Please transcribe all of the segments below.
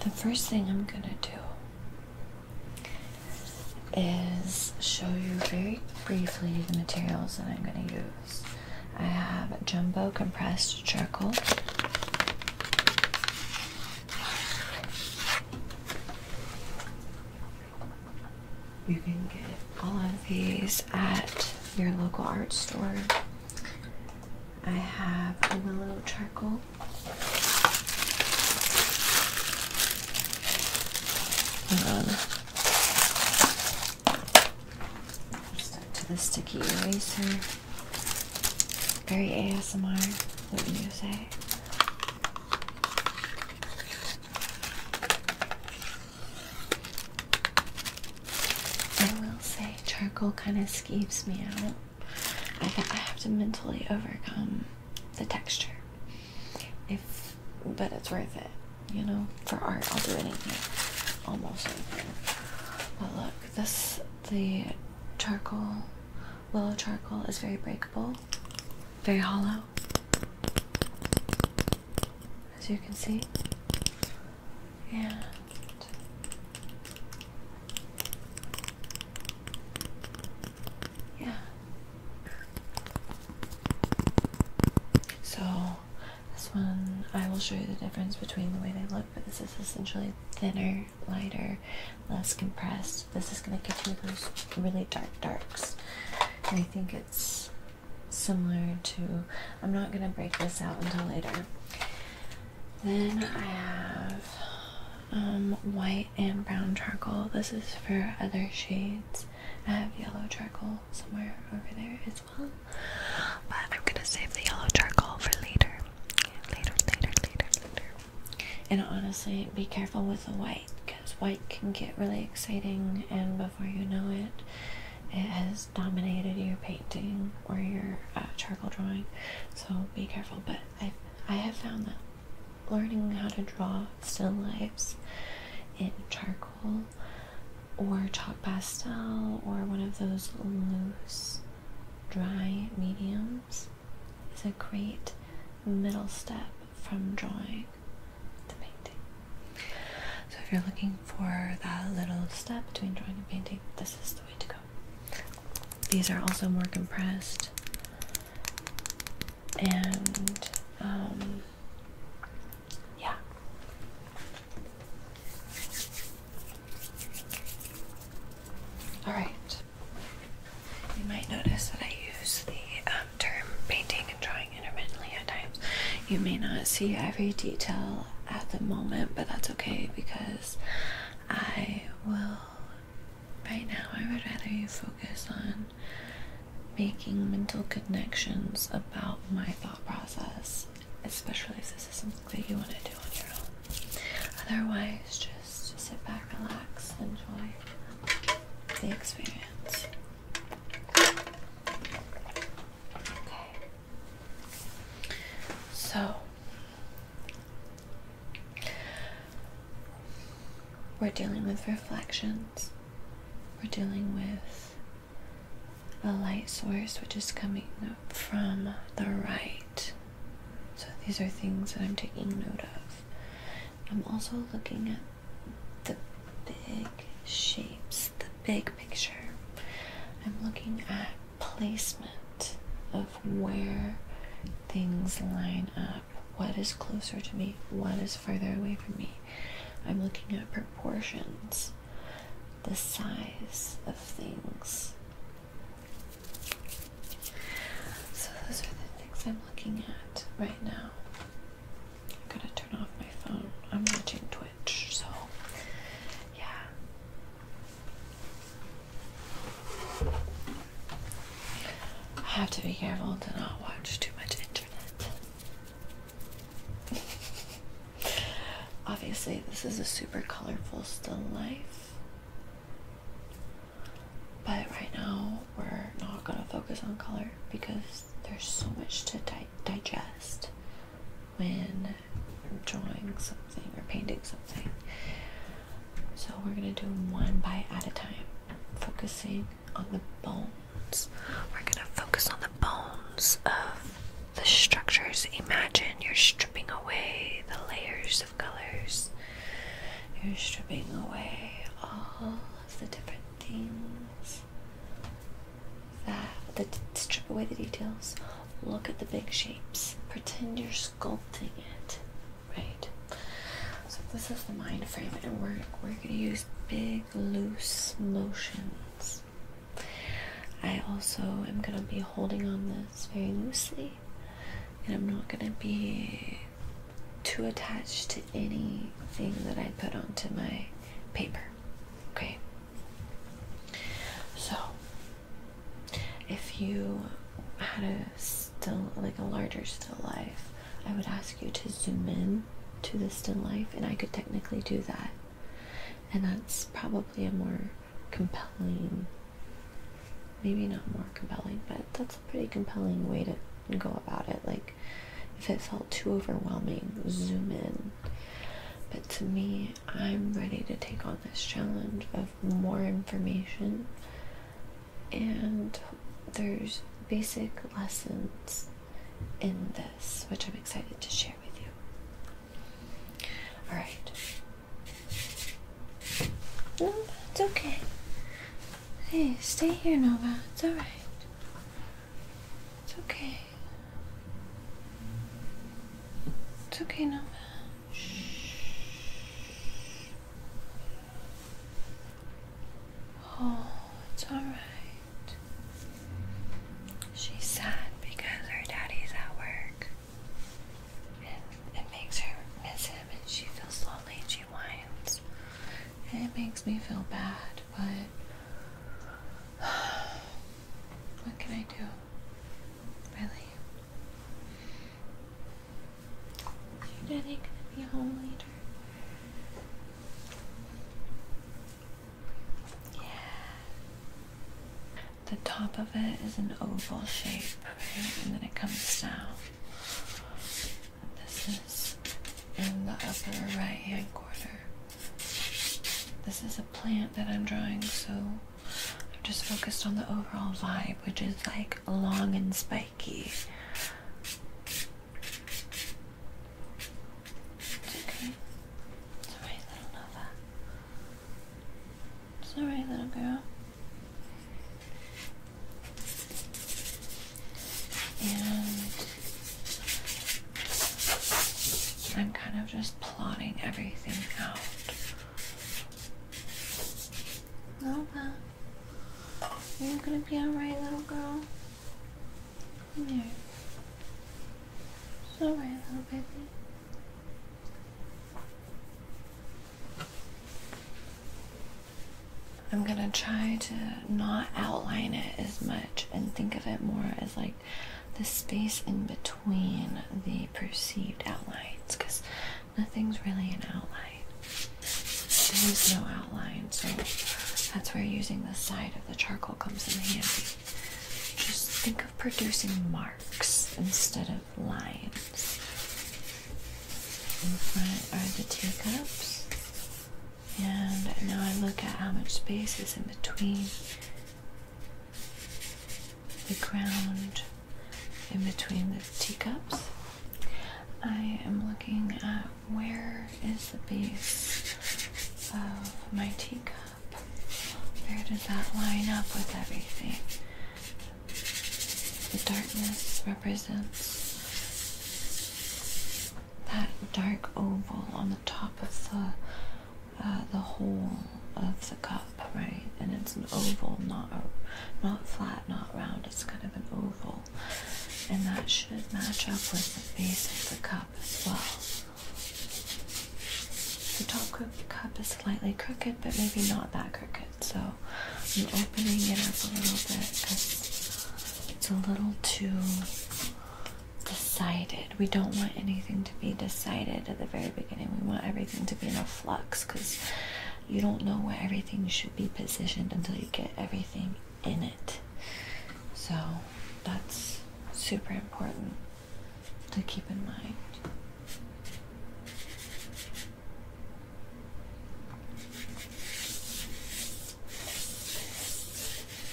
The first thing I'm gonna do is show you very briefly the materials that I'm gonna use. I have jumbo compressed charcoal. You can get all of these at your local art store. I have a willow charcoal to the sticky eraser. Very ASMR, What do you say? I will say charcoal kind of skeeves me out. I, have to mentally overcome the texture. If, but it's worth it, you know. For art, I'll do anything, almost anything. But look, this the charcoal, willow charcoal is very breakable, very hollow, as you can see, and yeah. So this one I will show you the difference between the way they look, but this is essentially thinner, lighter, less compressed. This is gonna get you those really dark darks. And I think it's similar to I'm not gonna break this out until later. Then I have um, white and brown charcoal. This is for other shades. I have yellow charcoal somewhere over there as well. But I'm gonna save the yellow charcoal for later. Later, later, later, later. And honestly, be careful with the white because white can get really exciting, and before you know it, it has dominated your painting or your uh, charcoal drawing. So be careful. But I I have found that learning how to draw still lifes in charcoal or chalk pastel or one of those loose dry mediums is a great middle step from drawing to painting. So if you're looking for that little step between drawing and painting, this is the way to go. These are also more compressed and um, yeah. All right. You might notice that I use the um, term painting and drawing intermittently at times. You may not see every detail at the moment, but that's okay because I will Right now, I would rather you focus on making mental connections about my thought process, especially if this is something that you want to do on your own. Otherwise, just sit back, relax, enjoy the experience. Okay. So, we're dealing with reflections. We're dealing with a light source which is coming from the right. So these are things that I'm taking note of. I'm also looking at the big shapes, the big picture. I'm looking at placement of where things line up. What is closer to me? What is further away from me? I'm looking at proportions, the size of things. So, those are the things I'm looking at right now. I'm gonna turn off my phone. I'm watching Twitch, so yeah. I have to be careful to not watch too much internet. Obviously, this is a super colorful still life. But right now, we're not going to focus on color because there's so much to digest when drawing something or painting something. So we're gonna do one bite at a time, focusing on the bones. We're gonna focus on the bones of the structures. Imagine you're stripping away the layers of colors. You're stripping away all of the different things that that strip away the details. Look at the big shapes. Pretend you're sculpting it. Right. So this is the mind frame, and we're we're gonna use big loose motions. I also am gonna be holding on this very loosely, and I'm not gonna be too attached to anything that I put onto my paper. Okay. So if you had a still like a larger still life, I would ask you to zoom in to the still life, and I could technically do that. And that's probably a more compelling, maybe not more compelling, but that's a pretty compelling way to go about it. Like, if it felt too overwhelming, zoom in. But to me, I'm ready to take on this challenge of more information and there's basic lessons in this, which I'm excited to share with you. All right. Nova, it's okay. Hey, stay here, Nova. It's all right. It's okay. It's okay, Nova. Oh, it's alright. She's sad because her daddy's at work. And it makes her miss him and she feels lonely she whines. it makes me feel bad, but what can I do? Really? Your daddy gonna be home later. Yeah. The top of it is an oval shape, And then it comes down. This is in the upper right hand corner. This is a plant that I'm drawing, so I'm just focused on the overall vibe, which is like long and spiky okay. It's little Nova. It's little girl. And I'm kind of just plotting everything out. Nova. You're gonna be alright, little girl. Come It's alright, little baby. I'm gonna try to not outline it as much and think of it more as like the space in between the perceived outlines because nothing's really an outline. There's no outline, so that's where using the side of the charcoal comes in handy. Just think of producing marks instead of lines. In front are the teacups, and now I look at how much space is in between the ground in between the teacups I am looking at where is the base of my teacup. Where does that line up with everything? The darkness represents that dark oval on the top of the uh, the hole of the cup, right? And it's an oval, not a, not flat, not round. It's kind of an oval and that should match up with the base of the cup as well. The top of the cup is slightly crooked but maybe not that crooked so I'm opening it up a little bit because it's a little too decided. We don't want anything to be decided at the very beginning. We want everything to be in a flux because you don't know where everything should be positioned until you get everything in it. So that's super important to keep in mind.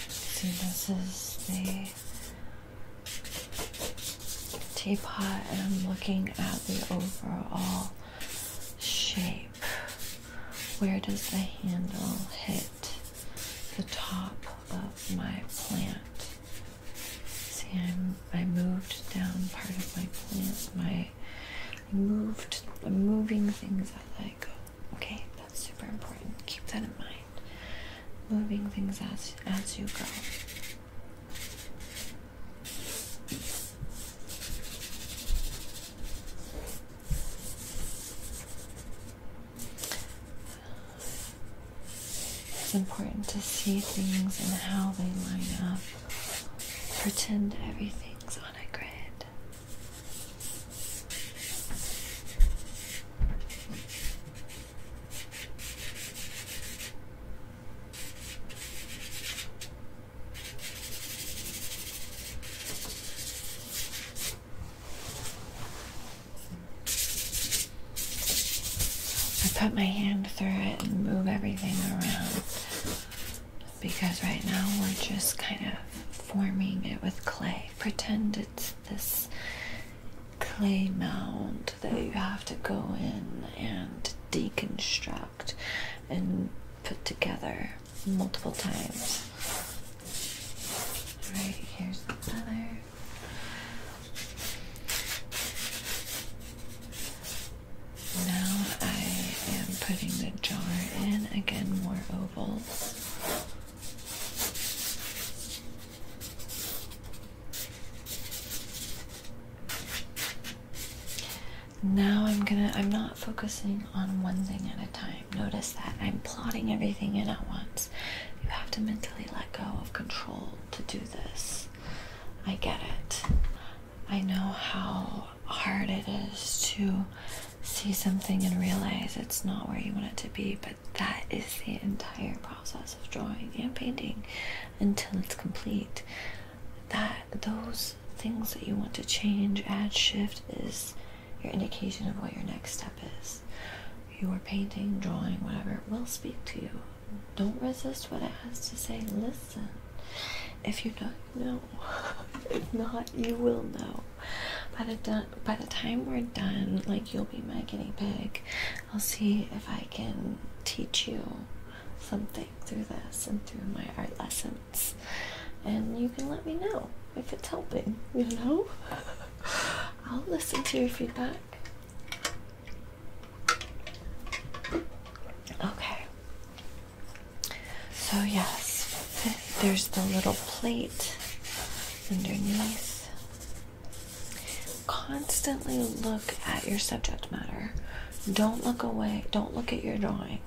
See, this is the teapot, and I'm looking at the overall shape. Where does the handle hit the top of my plant? See, i moved down part of my plant. My I moved. I'm moving things as I go. Okay, that's super important. Keep that in mind. Moving things as as you go. It's important to see things and how they line up. Pretend everything's on a grid. I put my hand through it and move everything around because right now we're just kind of forming it with clay. Pretend it's this clay mound that you have to go in and deconstruct and put together multiple times. Alright, here's another. Now I am putting the jar in. Again, more ovals. Now I'm gonna, I'm not focusing on one thing at a time. Notice that I'm plotting everything in at once. You have to mentally let go of control to do this. I get it. I know how hard it is to see something and realize it's not where you want it to be, but that is the entire process of drawing and painting until it's complete. That those things that you want to change, add, shift is your indication of what your next step is. Your painting, drawing, whatever, will speak to you. Don't resist what it has to say. Listen. If you don't know, if not, you will know. By the done, by the time we're done, like you'll be my guinea pig. I'll see if I can teach you something through this and through my art lesson and you can let me know if it's helping you know i'll listen to your feedback okay so yes there's the little plate underneath constantly look at your subject matter don't look away don't look at your drawing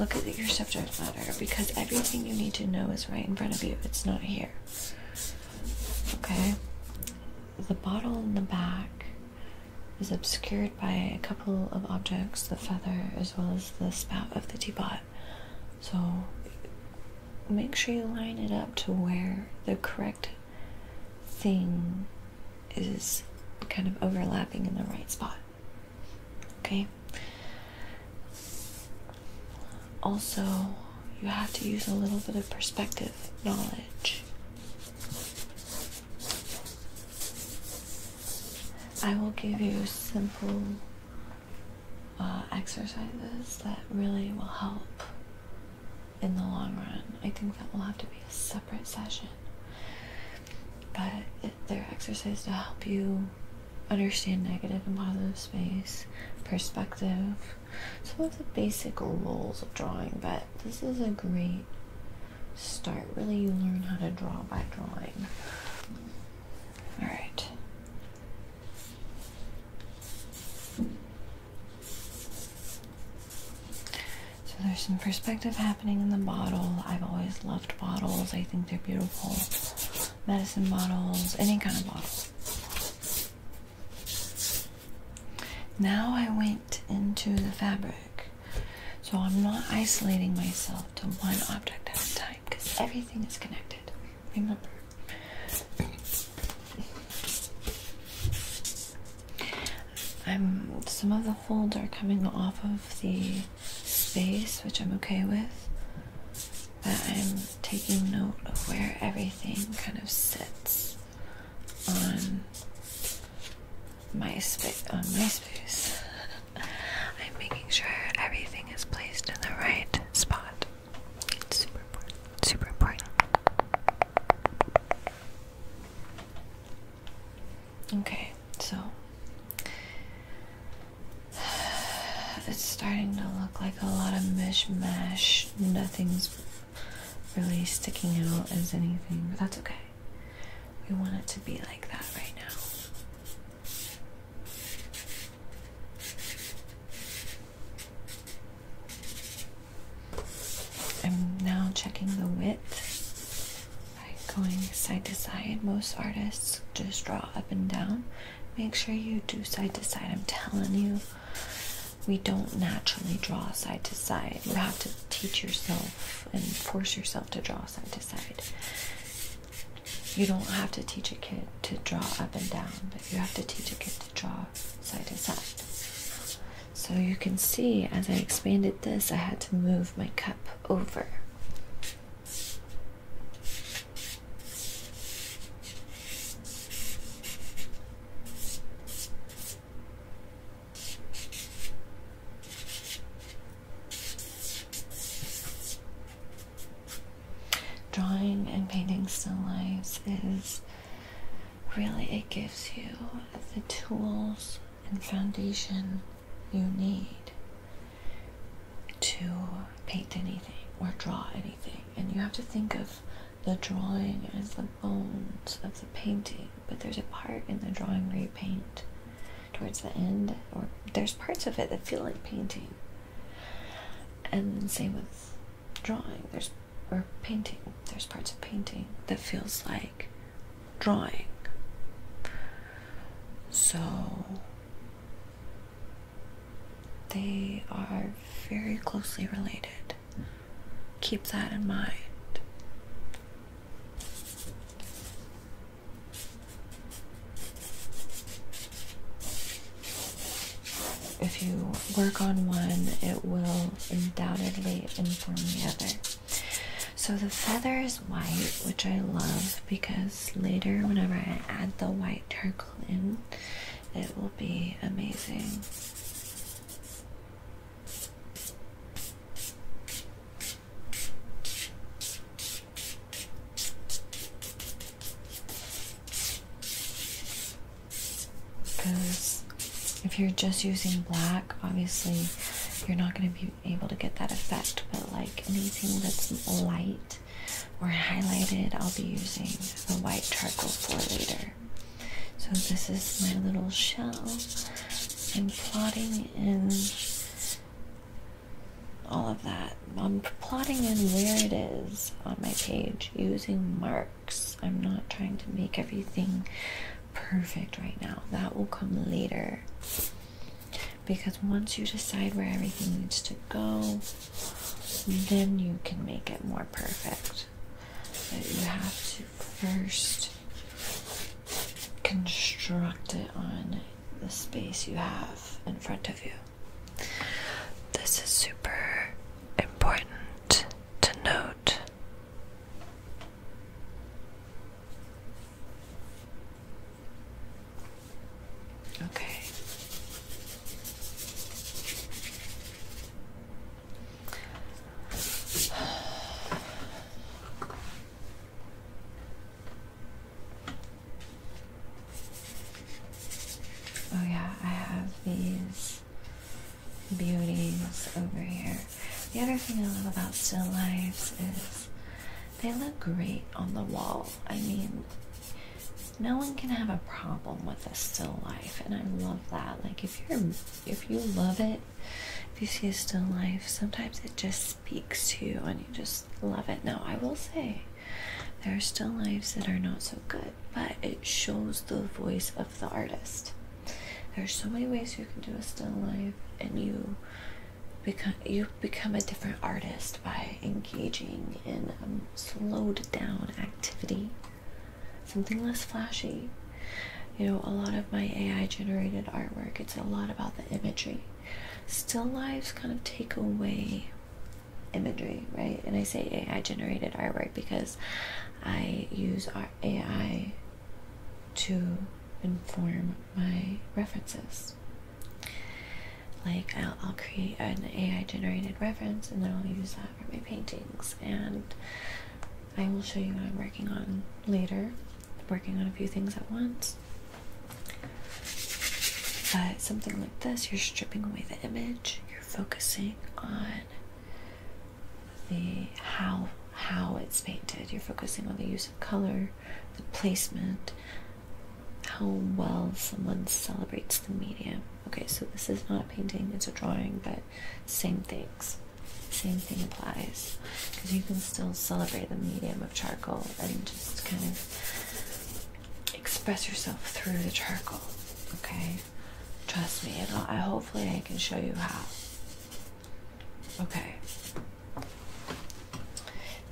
Look at your subject matter because everything you need to know is right in front of you. It's not here. Okay? The bottle in the back is obscured by a couple of objects the feather, as well as the spout of the teapot. So make sure you line it up to where the correct thing is kind of overlapping in the right spot. Okay. Also, you have to use a little bit of perspective knowledge. I will give you simple uh, exercises that really will help in the long run. I think that will have to be a separate session but they're exercises to help you understand negative and positive space, perspective. So those are basic rules of drawing, but this is a great start. Really, you learn how to draw by drawing. All right. So there's some perspective happening in the bottle. I've always loved bottles. I think they're beautiful. Medicine bottles, any kind of bottle. Now I went into the fabric. So I'm not isolating myself to one object at a time because everything is connected. Remember. I'm some of the folds are coming off of the space, which I'm okay with. But I'm taking note of where everything kind of sits on my space. On my space, I'm making sure everything is placed in the right spot. It's super important. Super important. Okay, so it's starting to look like a lot of mishmash. Nothing's really sticking out as anything, but that's okay. We want it to be like that right now. I'm now checking the width by going side to side. Most artists just draw up and down. Make sure you do side to side. I'm telling you, we don't naturally draw side to side. You have to teach yourself and force yourself to draw side to side. You don't have to teach a kid to draw up and down, but you have to teach a kid to draw side to side. So you can see as I expanded this, I had to move my cup over. Drawing and painting still lives is really, it gives you the tools and foundation you need to paint anything or draw anything. And you have to think of the drawing as the bones of the painting, but there's a part in the drawing where you paint towards the end, or there's parts of it that feel like painting. And same with drawing, there's or painting, there's parts of painting that feels like drawing. So they are very closely related. Keep that in mind. If you work on one, it will undoubtedly inform the other. So the feather is white, which I love because later, whenever I add the white turtle in, it will be amazing. Because if you're just using black, obviously you're not going to be able to get that effect, but like anything that's light or highlighted, I'll be using the white charcoal for later. So this is my little shell. I'm plotting in all of that. I'm plotting in where it is on my page using marks. I'm not trying to make everything perfect right now. That will come later because once you decide where everything needs to go, then you can make it more perfect. But you have to first construct it on the space you have in front of you. This is super important to note. Okay. Oh, yeah, I have these beauties over here. The other thing I love about still lives is they look great on the wall. I mean, no one can have a problem with a still life, and I love that. Like if you're if you love it, if you see a still life, sometimes it just speaks to you and you just love it. Now I will say there are still lives that are not so good, but it shows the voice of the artist. There's so many ways you can do a still life and you become you become a different artist by engaging in um, slowed down activity something less flashy you know a lot of my ai generated artwork it's a lot about the imagery still lives kind of take away imagery right and i say ai generated artwork because i use ai to inform my references like I'll, create an AI generated reference and then I'll use that for my paintings and I will show you what I'm working on later. working on a few things at once. But something like this, you're stripping away the image, you're focusing on the how how it's painted, you're focusing on the use of color, the placement, how well someone celebrates the medium. Okay, so this is not a painting, it's a drawing, but same things. Same thing applies. Because you can still celebrate the medium of charcoal and just kind of express yourself through the charcoal. Okay? Trust me, I hopefully I can show you how. Okay.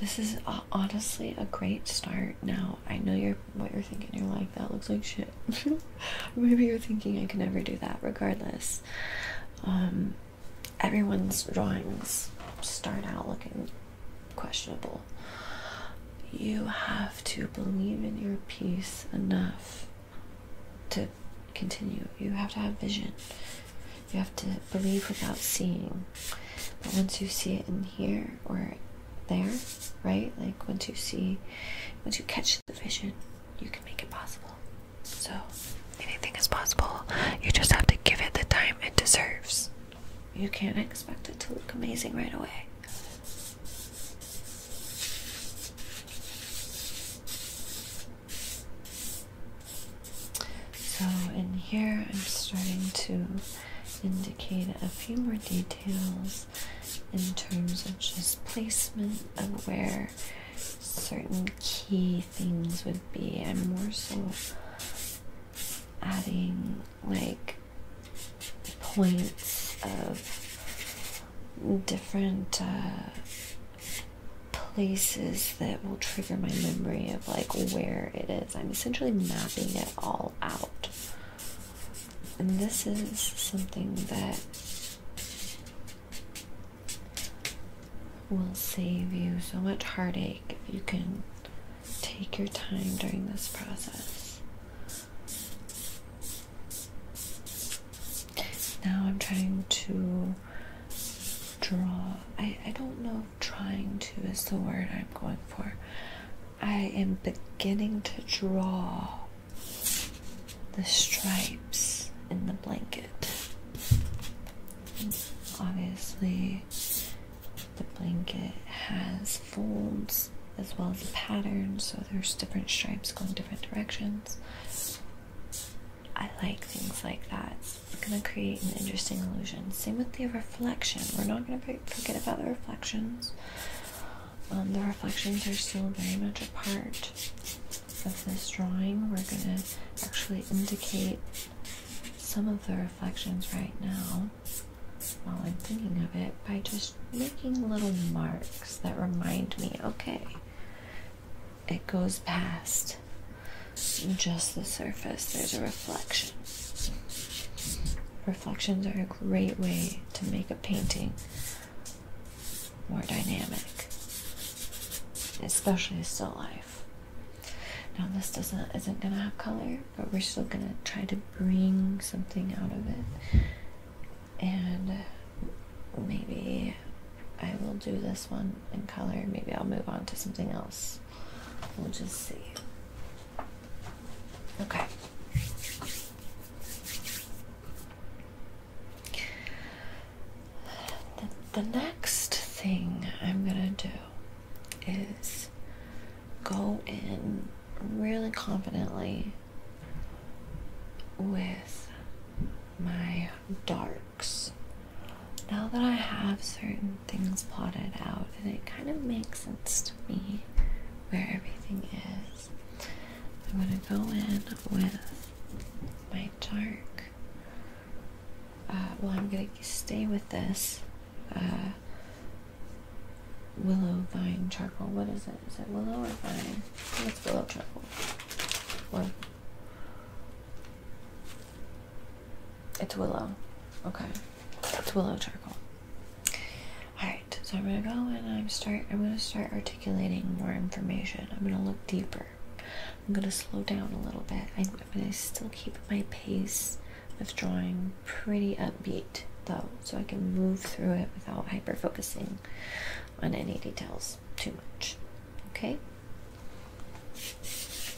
This is uh, honestly a great start. Now I know you're what you're thinking. You're like that looks like shit. Maybe you're thinking I can never do that. Regardless, um, everyone's drawings start out looking questionable. You have to believe in your piece enough to continue. You have to have vision. You have to believe without seeing. But once you see it in here or there, right? Like once you see, once you catch the vision, you can make it possible. So anything is possible. You just have to give it the time it deserves. You can't expect it to look amazing right away. So in here I'm starting to indicate a few more details in terms of just placement of where certain key things would be. and more so adding like points of different uh, places that will trigger my memory of like where it is. I'm essentially mapping it all out. And this is something that will save you so much heartache if you can take your time during this process. Now I'm trying to draw I, I don't know if trying to is the word I'm going for. I am beginning to draw the stripes in the blanket. obviously, the blanket has folds as well as a pattern, so there's different stripes going different directions. I like things like that. We're going to create an interesting illusion. Same with the reflection. We're not going to forget about the reflections. Um, the reflections are still very much a part of this drawing. We're going to actually indicate some of the reflections right now while I'm thinking of it by just making little marks that remind me okay, it goes past just the surface, there's a reflection. Reflections are a great way to make a painting more dynamic, especially still life. Now this doesn't isn't gonna have color, but we're still gonna try to bring something out of it. And maybe I will do this one in color. Maybe I'll move on to something else. We'll just see. Okay. The, next thing I'm going to do is go in really confidently with my darks. Now that I have certain things plotted out, and it kind of makes sense to me where everything is. I'm going to go in with my dark. Uh, well, I'm going to stay with this uh, willow vine charcoal. What is it? Is it willow or vine? What's willow charcoal? Or it's willow. Okay. It's willow charcoal. Alright, so I'm gonna go and I'm start I'm gonna start articulating more information. I'm gonna look deeper. I'm gonna slow down a little bit. I, am gonna still keep my pace of drawing pretty upbeat though, so I can move through it without hyper focusing on any details too much. Okay?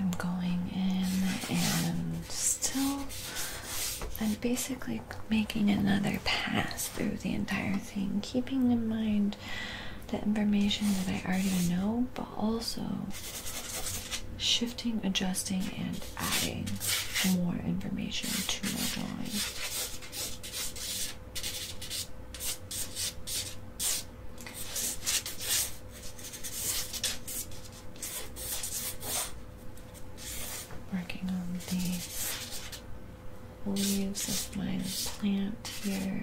I'm going in and still, I'm basically making another pass through the entire thing, keeping in mind the information that I already know, but also shifting, adjusting, and adding more information to my drawing. Working on the leaves of my plant here.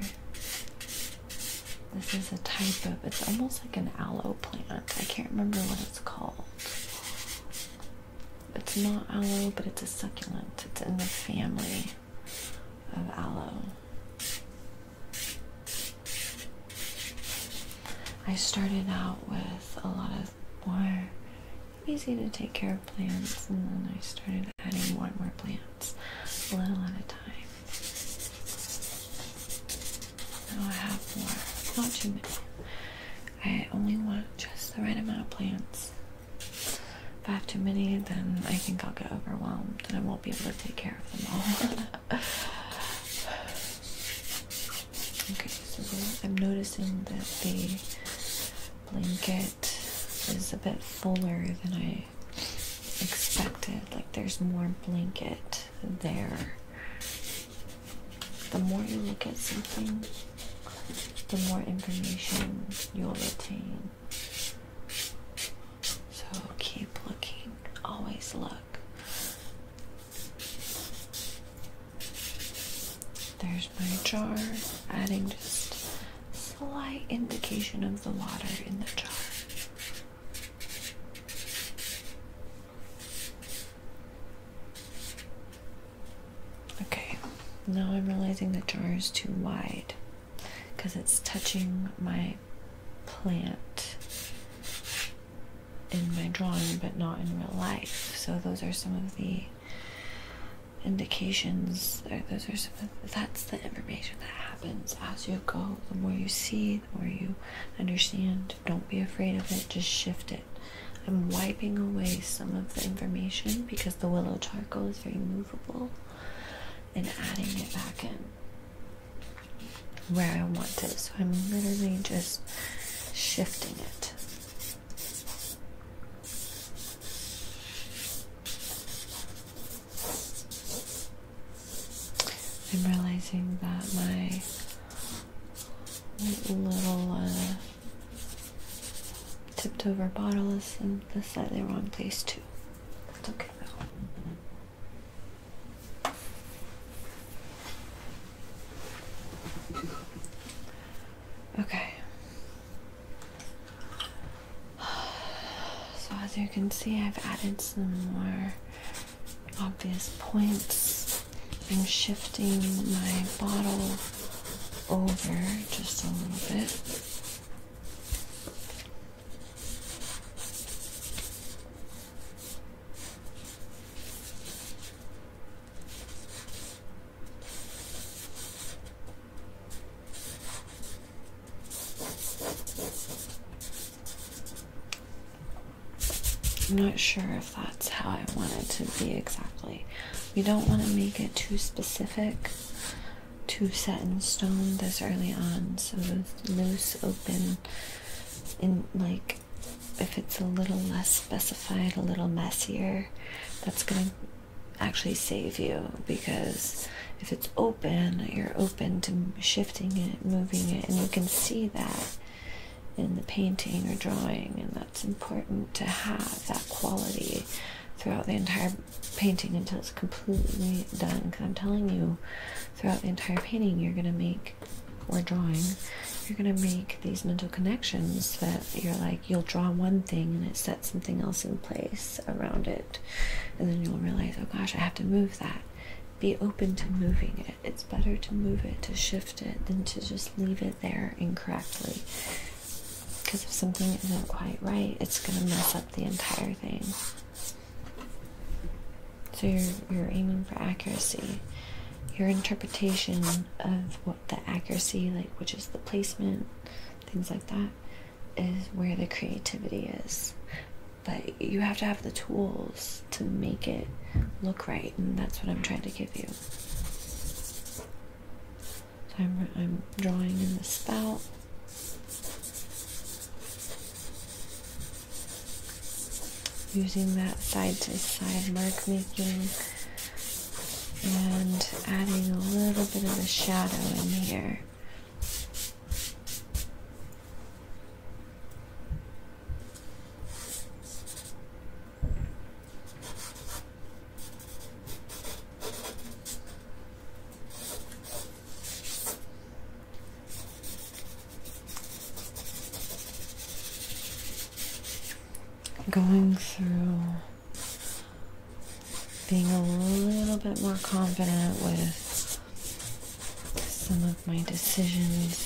This is a type of, it's almost like an aloe plant. I can't remember what it's called. It's not aloe, but it's a succulent. It's in the family of aloe. I started out with a lot of more easy to take care of plants, and then I started adding more and more plants, a little at a time. Now I have more, not too many. I only want just the right amount of plants. If I have too many, then I think I'll get overwhelmed and I won't be able to take care of them all. okay, so I'm noticing that the blanket is a bit fuller than I expected. Like there's more blanket there. The more you look at something, the more information you'll obtain. So keep looking, always look. There's my jar, adding just slight indication of the water in the jar. Okay, now I'm realizing the jar is too wide because it's touching my plant in my drawing but not in real life. So those are some of the indications. Those are some that's the information that happens as you go. The more you see, the more you understand. Don't be afraid of it. Just shift it. I'm wiping away some of the information because the willow charcoal is very movable and adding it back in where I want it. So I'm literally just shifting it. I'm realizing that my little uh, tipped over bottle is in the slightly wrong place too. That's okay though. Okay. So as you can see, I've added some more obvious points. I'm shifting my bottle over just a little bit. I'm not sure if that's how I want it to be exactly. We don't want to make it too specific, too set in stone this early on. So loose, open in like if it's a little less specified, a little messier, that's gonna actually save you because if it's open, you're open to shifting it, moving it, and you can see that in the painting or drawing, and that's important to have that quality throughout the entire painting until it's completely done. Because I'm telling you, throughout the entire painting, you're gonna make or drawing, you're gonna make these mental connections that you're like you'll draw one thing and it sets something else in place around it, and then you'll realize, oh gosh, I have to move that. Be open to moving it. It's better to move it, to shift it, than to just leave it there incorrectly. Because if something isn't quite right, it's gonna mess up the entire thing. So you're you're aiming for accuracy. Your interpretation of what the accuracy, like which is the placement, things like that, is where the creativity is. But you have to have the tools to make it look right, and that's what I'm trying to give you. So I'm I'm drawing in the spout using that side to side mark making and adding a little bit of a shadow in here. Going through being a little bit more confident with some of my decisions.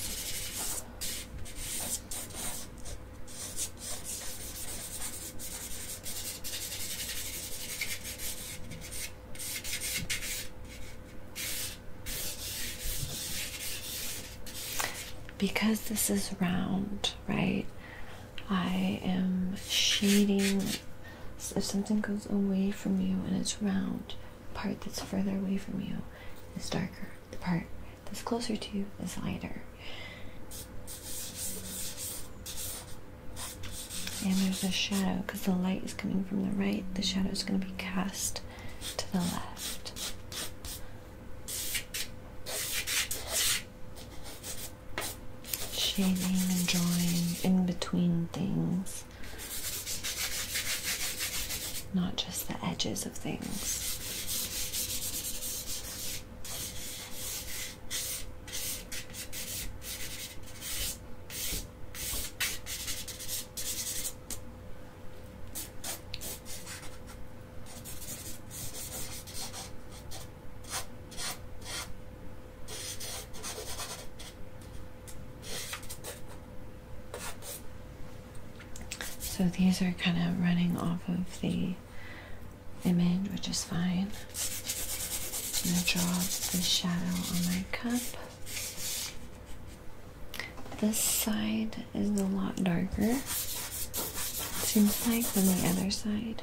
Because this is round, right? I am shading. if something goes away from you and it's round, the part that's further away from you is darker. The part that's closer to you is lighter. And there's a shadow because the light is coming from the right. The shadow is going to be cast to the left. Shading and drawing in between things, not just the edges of things. So these are kind of running off of the image, which is fine. I'm going to draw the shadow on my cup. This side is a lot darker, it seems like, than the other side.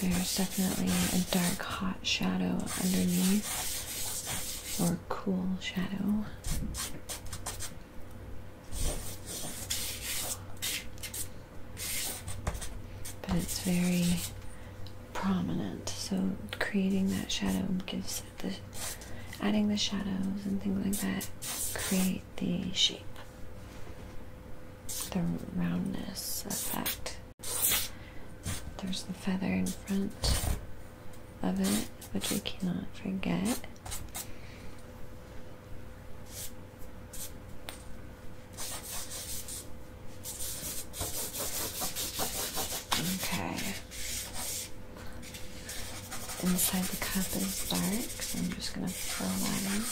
There's definitely a dark, hot shadow underneath, or cool shadow. But it's very prominent. So creating that shadow gives the adding the shadows and things like that create the shape. The roundness effect. There's the feather in front of it, which I cannot forget. Okay. Inside the cup is dark, so I'm just gonna fill that in.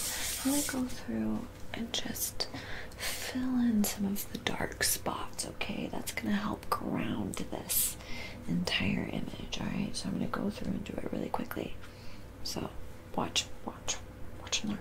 I'm gonna go through and just fill in some of the dark spots, okay? That's gonna help ground this entire image, alright? So I'm gonna go through and do it really quickly. So watch, watch, Watch and learn.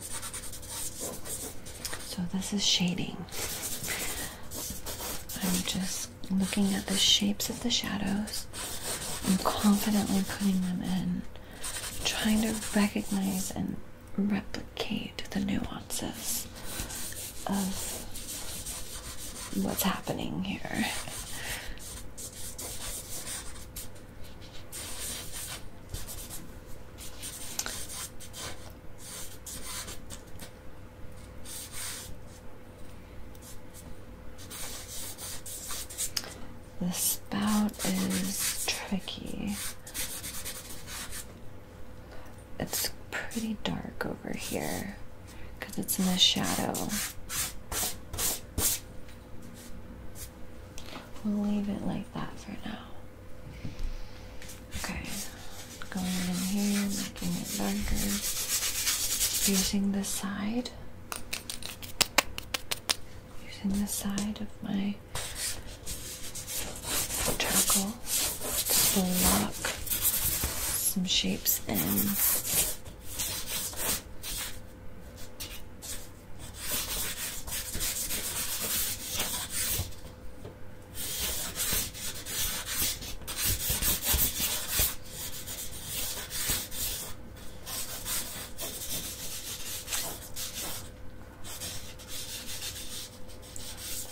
So this is shading. I'm just looking at the shapes of the shadows. I'm confidently putting them in, trying to recognize and replicate the nuances of what's happening here. The spout is tricky. It's pretty dark over here because it's in the shadow. We'll leave it like that for now. Okay, going in here, making it darker, using the side, using the side of my charcoal to block some shapes in.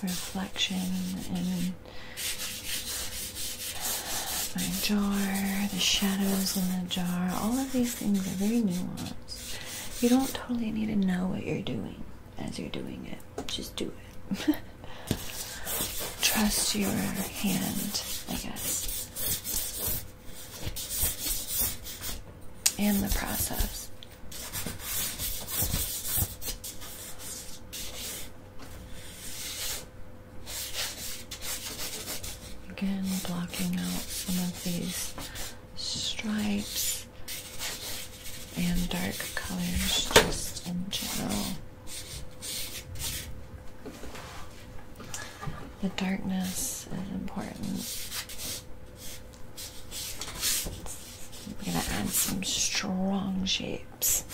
Reflection and my jar, the shadows in the jar, all of these things are very nuanced. You don't totally need to know what you're doing as you're doing it. Just do it. Trust your hand, I guess, and the process. Again, blocking out some of these stripes and dark colors just in general. The darkness is important. I'm going to add some strong shapes.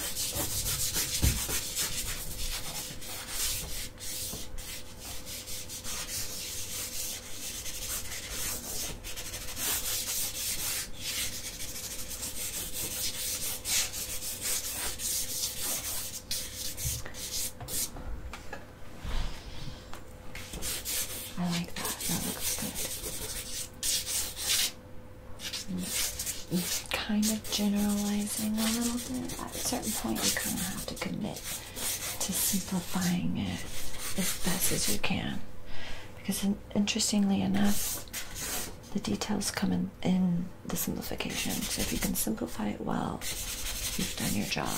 I like that. That looks good. You're kind of generalizing a little bit. At a certain point, you kind of have to commit to simplifying it as best as you can, because interestingly enough, the details come in, in the simplification. So if you can simplify it well, you've done your job.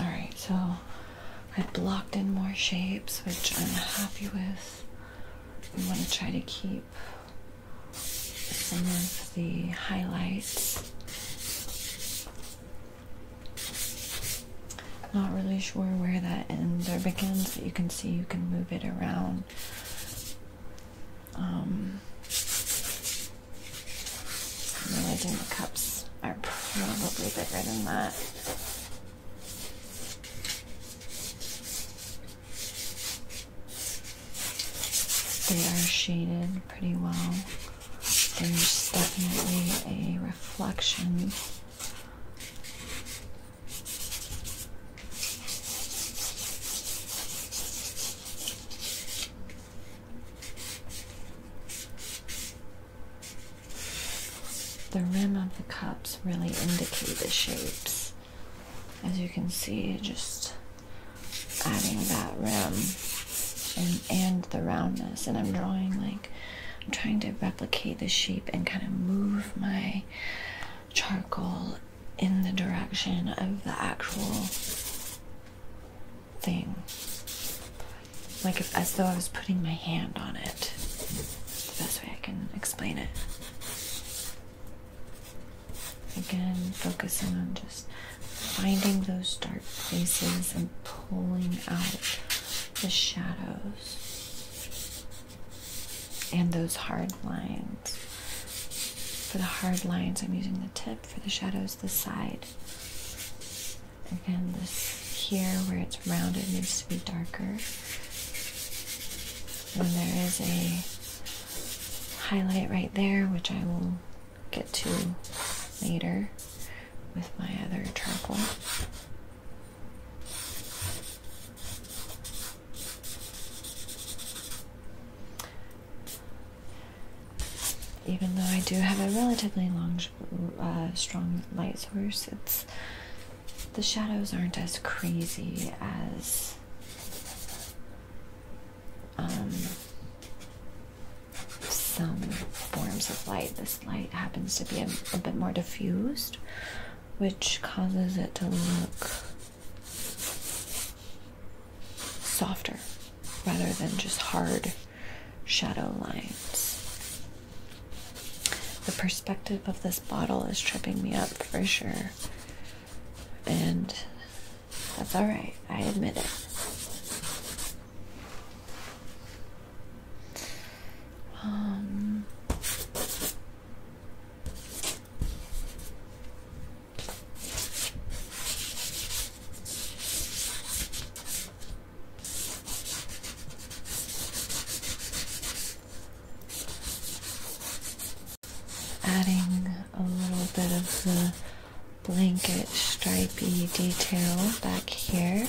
All right, so I blocked in more shapes, which I'm happy with. I want to try to keep some of the highlights. Not really sure where that ends or begins, but you can see you can move it around. Um, I'm really doing the cups are probably bigger than that. They are shaded pretty well. There's definitely a reflection. The rim of the cups really indicate the shapes. As you can see, just adding that rim and the roundness. And I'm drawing like I'm trying to replicate the shape and kind of move my charcoal in the direction of the actual thing like as though I was putting my hand on it. the best way I can explain it. Again, focusing on just finding those dark places and pulling out the shadows and those hard lines. For the hard lines, I'm using the tip. For the shadows, the side. Again, this here where it's rounded needs to be darker. And there is a highlight right there, which I will get to later with my other charcoal. Even though I do have a relatively long a uh, strong light source, it's the shadows aren't as crazy as um, some forms of light. This light happens to be a bit more diffused, which causes it to look softer rather than just hard shadow lines. The perspective of this bottle is tripping me up for sure. And that's alright, I admit it. Um, Adding a little bit of the blanket stripy detail back here.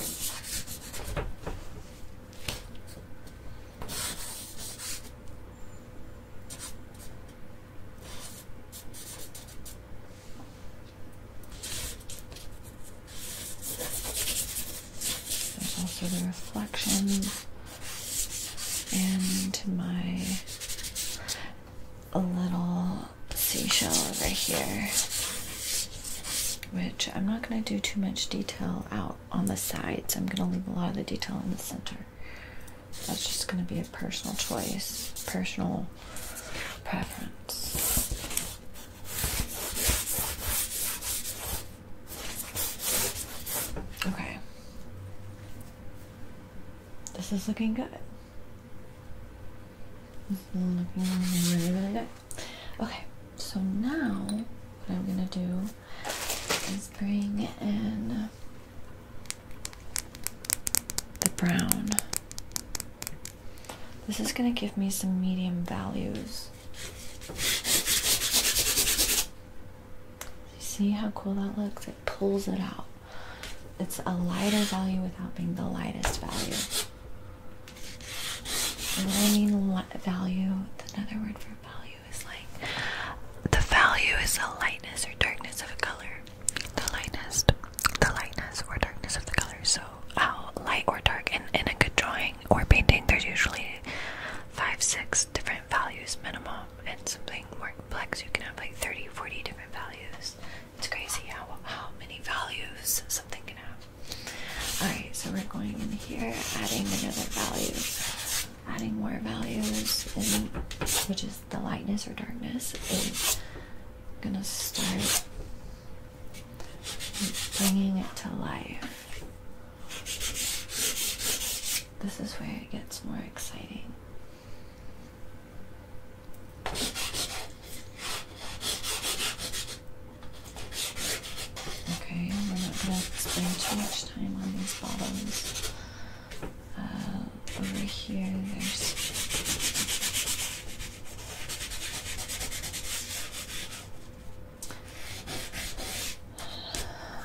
There's also the reflections and my little seashell over here, which I'm not going to do too much detail out on the sides. I'm going to leave a lot of the detail in the center. That's just going to be a personal choice, personal preference. Okay. This is looking good. looking really, really good. Okay, so now what I'm gonna do is bring in the brown this is going to give me some medium values. See how cool that looks? It pulls it out. It's a lighter value without being the lightest value. And what I mean value, another word for value is like the value is the lightness or darkness of a color. The lightness, the lightness or darkness of the color. So how light or dark And in a good drawing or painting, there's usually five, six different values minimum. And something more complex, you can have like 30, 40 different values. It's crazy how, how many values something can have. Alright, so we're going in here, adding another value, adding more values, and which is the lightness or darkness. is gonna start bringing it to life. This is where it gets more exciting. Okay, we're not going to spend too much time on these bottoms. Uh, over here, there's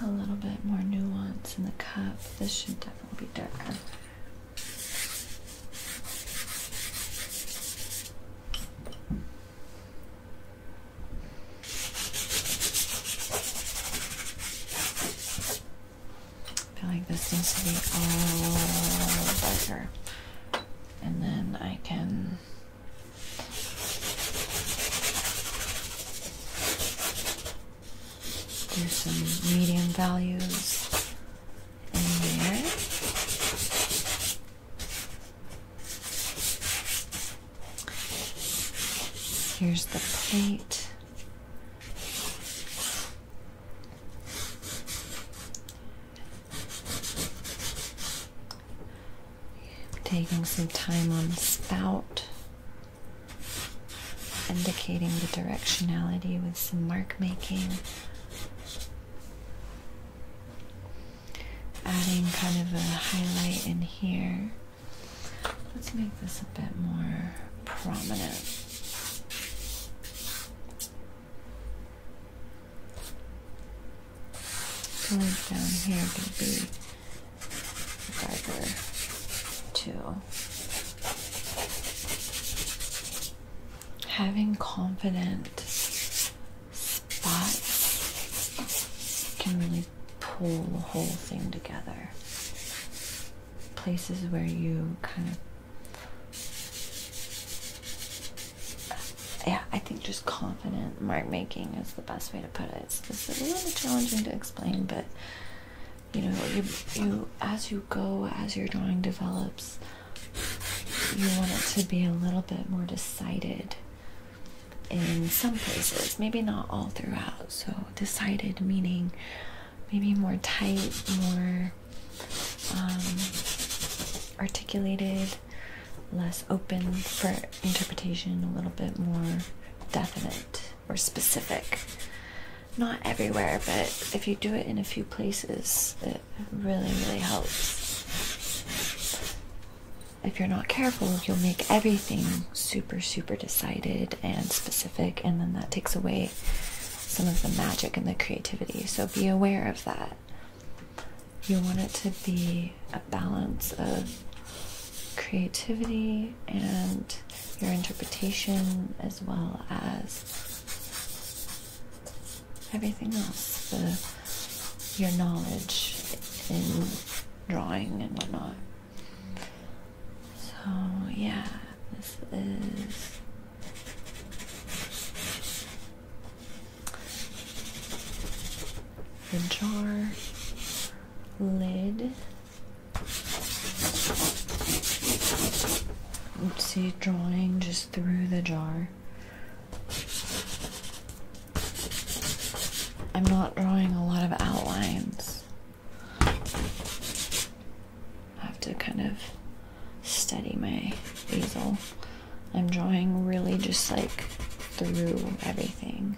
a little bit more nuance in the cup. This should definitely be darker. I feel like this needs to be all darker. And then I can there's some medium values in there. Here's the plate taking some time on the spout, indicating the directionality with some mark making. Adding kind of a highlight in here. Let's make this a bit more prominent. Colors down here can be darker too. Having confident spots can really pull the whole thing together. Places where you kind of yeah, I think just confident mark making is the best way to put it. It's, a little bit challenging to explain, but you know, you you as you go, as your drawing develops, you want it to be a little bit more decided. In some places, maybe not all throughout. So decided meaning maybe more tight, more um, articulated less open for interpretation, a little bit more definite or specific. Not everywhere, but if you do it in a few places, it really, really helps. If you're not careful, you'll make everything super, super decided and specific, and then that takes away some of the magic and the creativity. So be aware of that. You want it to be a balance of creativity and your interpretation, as well as everything else the, your knowledge in drawing and whatnot. So, yeah, this is the jar lid Oopsie! drawing just through the jar I'm not drawing a lot of outlines I have to kind of study my easel I'm drawing really just like through everything.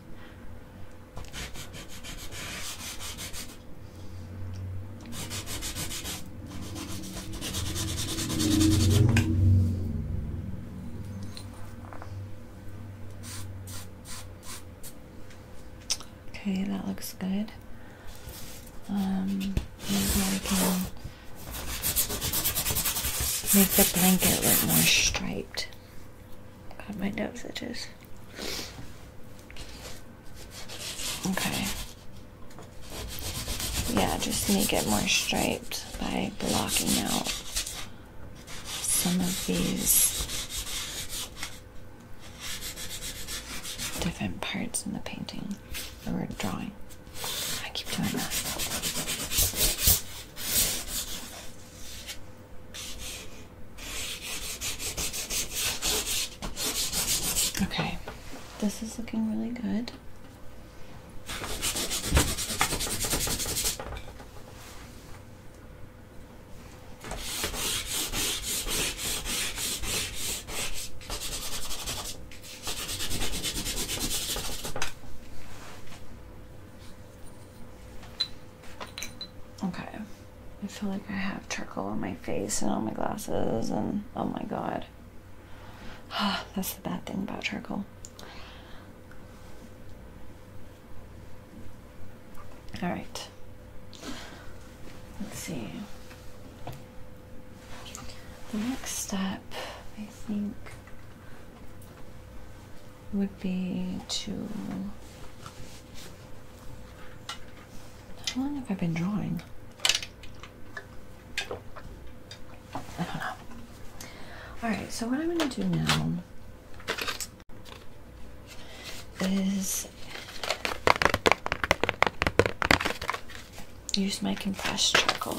Okay, that looks good. Um, I can Make the blanket look more striped. God, my nose itches. Okay. Yeah, just make it more striped by blocking out some of these different parts in the painting or drawing. I keep doing that. Okay, this is looking really good. Okay. I feel like I have charcoal on my face and on my glasses, and oh my god. That's the bad thing about charcoal. Alright. Let's see. The next step, I think, would be to. How long have I been drawing? I don't know. Alright, so what I'm going to do now is use my compressed charcoal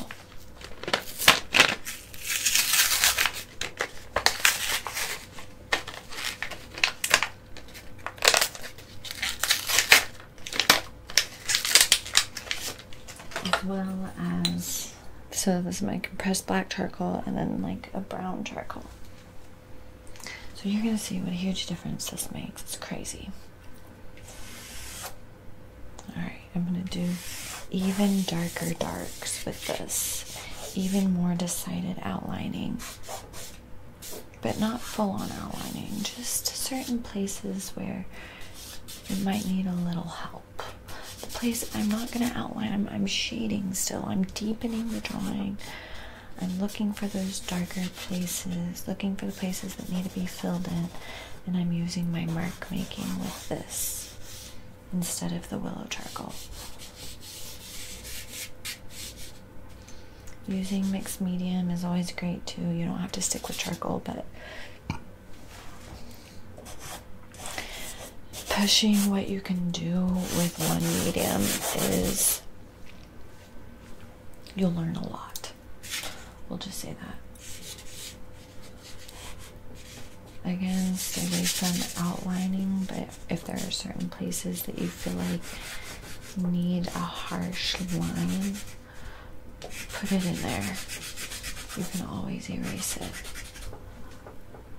as well as so this is my compressed black charcoal and then like a brown charcoal so you're gonna see what a huge difference this makes it's crazy all right I'm gonna do even darker darks with this, even more decided outlining, but not full on outlining, just certain places where it might need a little help. The place I'm not gonna outline, I'm shading still, I'm deepening the drawing. I'm looking for those darker places, looking for the places that need to be filled in, and I'm using my mark making with this instead of the willow charcoal. Using mixed medium is always great too. You don't have to stick with charcoal, but pushing what you can do with one medium is you'll learn a lot. We'll just say that. Again, stay away from outlining, but if there are certain places that you feel like need a harsh line, put it in there. You can always erase it.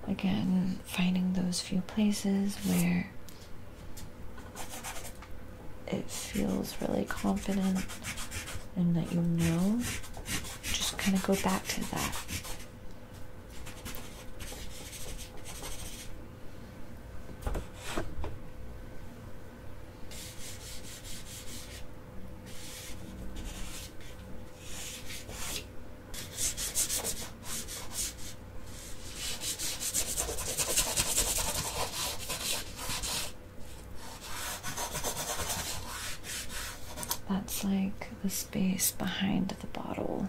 Again, finding those few places where it feels really confident and that you know, just kind of go back to that. That's like the space behind the bottle.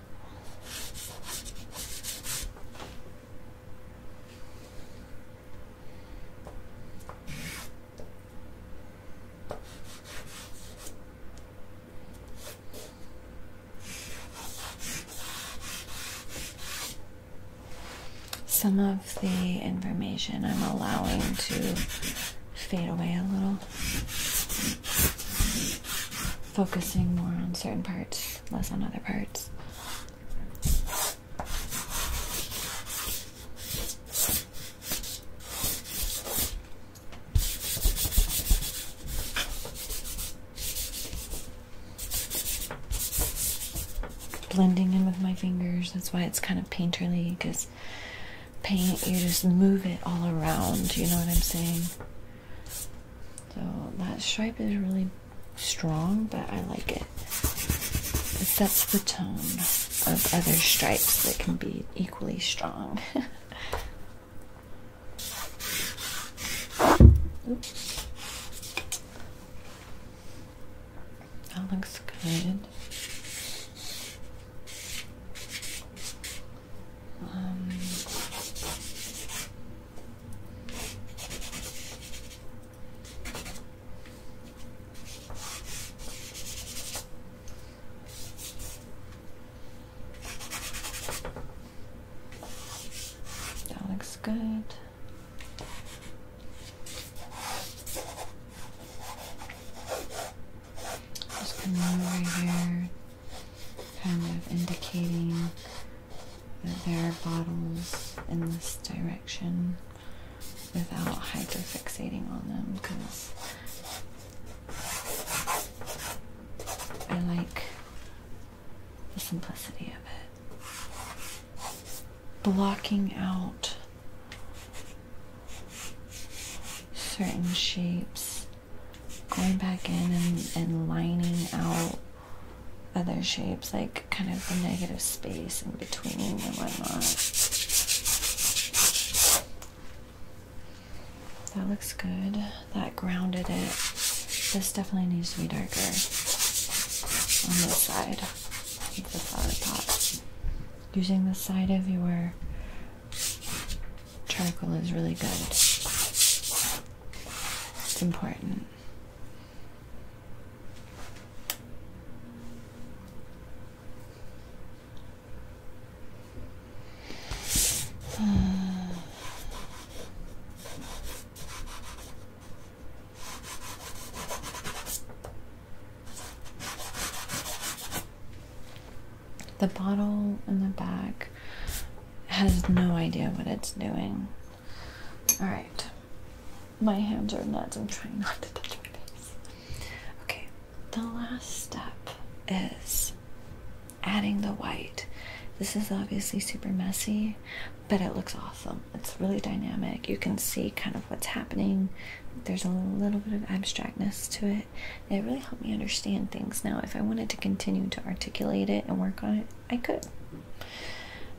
Some of the information I'm allowing to fade away a little, focusing more on certain parts, less on other parts. Blending in with my fingers, that's why it's kind of painterly because paint, you just move it all around, you know what I'm saying? So that stripe is really strong, but I like it. It sets the tone of other stripes that can be equally strong. That looks good. Um, that looks good. Just coming over here, kind of indicating that there are bottles in this direction without hyperfixating on them because I like the simplicity of it. Blocking out certain shapes going back in and, and lining out other shapes, like kind of the negative space in between and whatnot. That looks good. That grounded it. This definitely needs to be darker on this side of the flower pot. Using the side of your charcoal is really good. It's important. The bottle in the back has no idea what it's doing. Alright. My hands are nuts. I'm trying not to touch my face. Okay. The last step is adding the white. This is obviously super messy, but it looks awesome. It's really dynamic. You can see kind of what's happening. There's a little bit of abstractness to it it. really helped me understand things. Now, if I wanted to continue to articulate it and work on it, I could.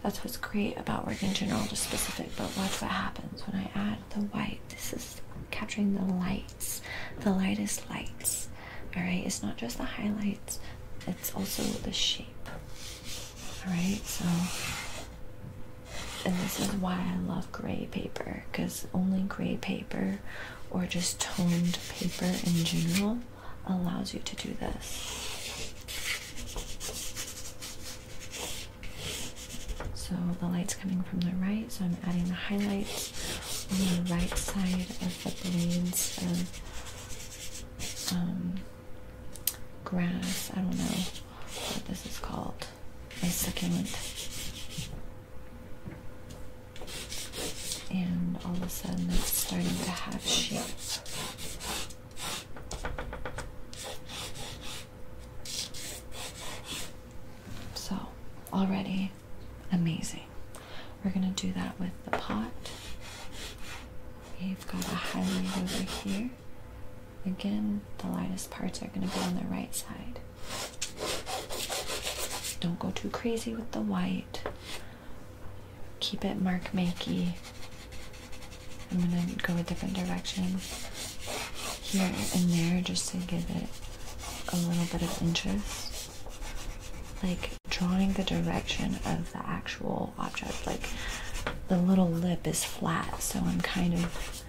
That's what's great about working general to specific, but watch what happens when I add the white. This is capturing the lights, the lightest lights. Alright, it's not just the highlights, it's also the shape. Alright, so and this is why I love gray paper because only gray paper or just toned paper in general allows you to do this. So the light's coming from the right, so I'm adding the highlights on the right side of the blades of um, grass. I don't know what this is called. A succulent and all of a sudden it's starting to have shape. So, already amazing. We're gonna do that with the pot. We've got a highlight over here. Again, the lightest parts are gonna be on the right side. Don't go too crazy with the white. Keep it mark makey. I'm gonna go a different direction here and there just to give it a little bit of interest. Like drawing the direction of the actual object. Like the little lip is flat, so I'm kind of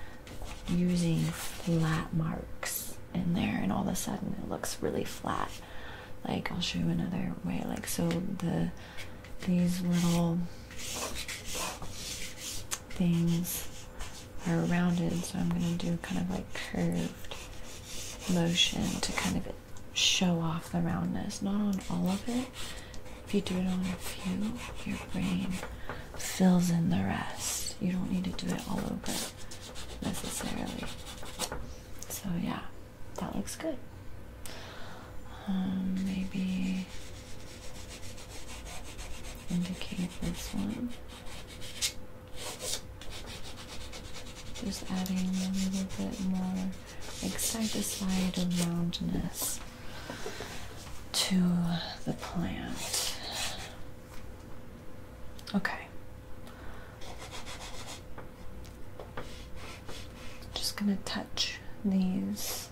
using flat marks in there and all of a sudden it looks really flat like I'll show you another way like so the these little things are rounded so I'm going to do kind of like curved motion to kind of show off the roundness not on all of it if you do it on a few your brain fills in the rest you don't need to do it all over necessarily. So yeah, that looks good. Um, maybe indicate this one. Just adding a little bit more side-to-side roundness to the plant. Okay. Just going to touch these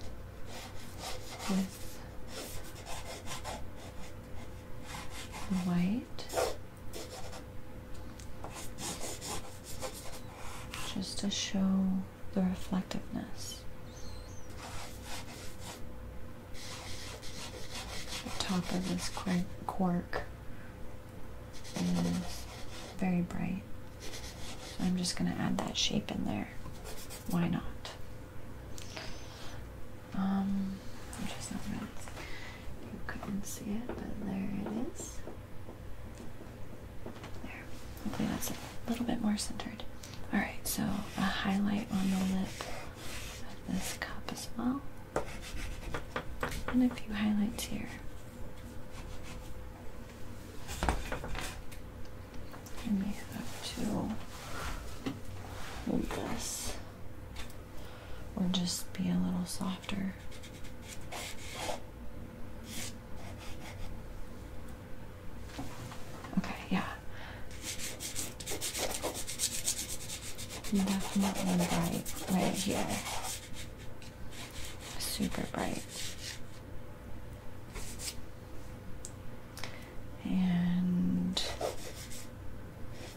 with the white just to show the reflectiveness. The top of this quark, is very bright. So I'm just going to add that shape in there. Why not? Um, I'm just not really, you couldn't see it, but there it is. There. Hopefully that's a little bit more centered. Alright, so a highlight on the lip of this cup as well and a few highlights here. And we have to hold oh, this or just be a little softer. Okay, yeah. Definitely bright right here. Super bright. And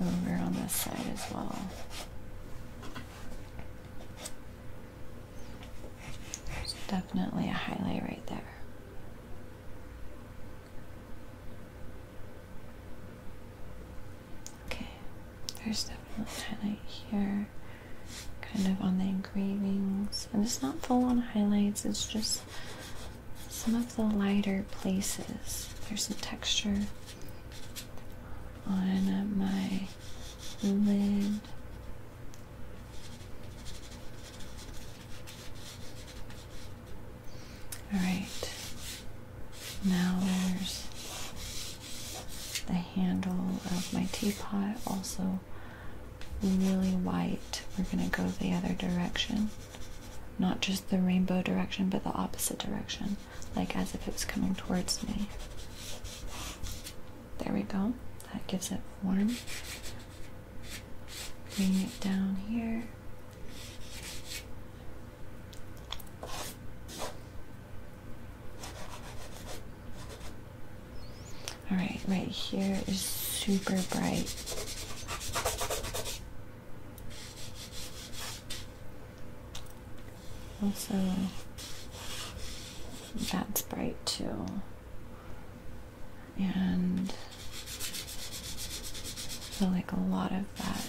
over on this side as well. There's definitely a highlight right there. Okay, there's definitely highlight here, kind of on the engravings, and it's not full on highlights, it's just some of the lighter places. There's some texture on uh, my lid. Alright, now there's the handle of my teapot, also really white. We're going to go the other direction. Not just the rainbow direction, but the opposite direction, like as if it was coming towards me. There we go. That gives it form. Bring it down here. All right, right here is super bright. Also, that's bright too. And I feel like a lot of that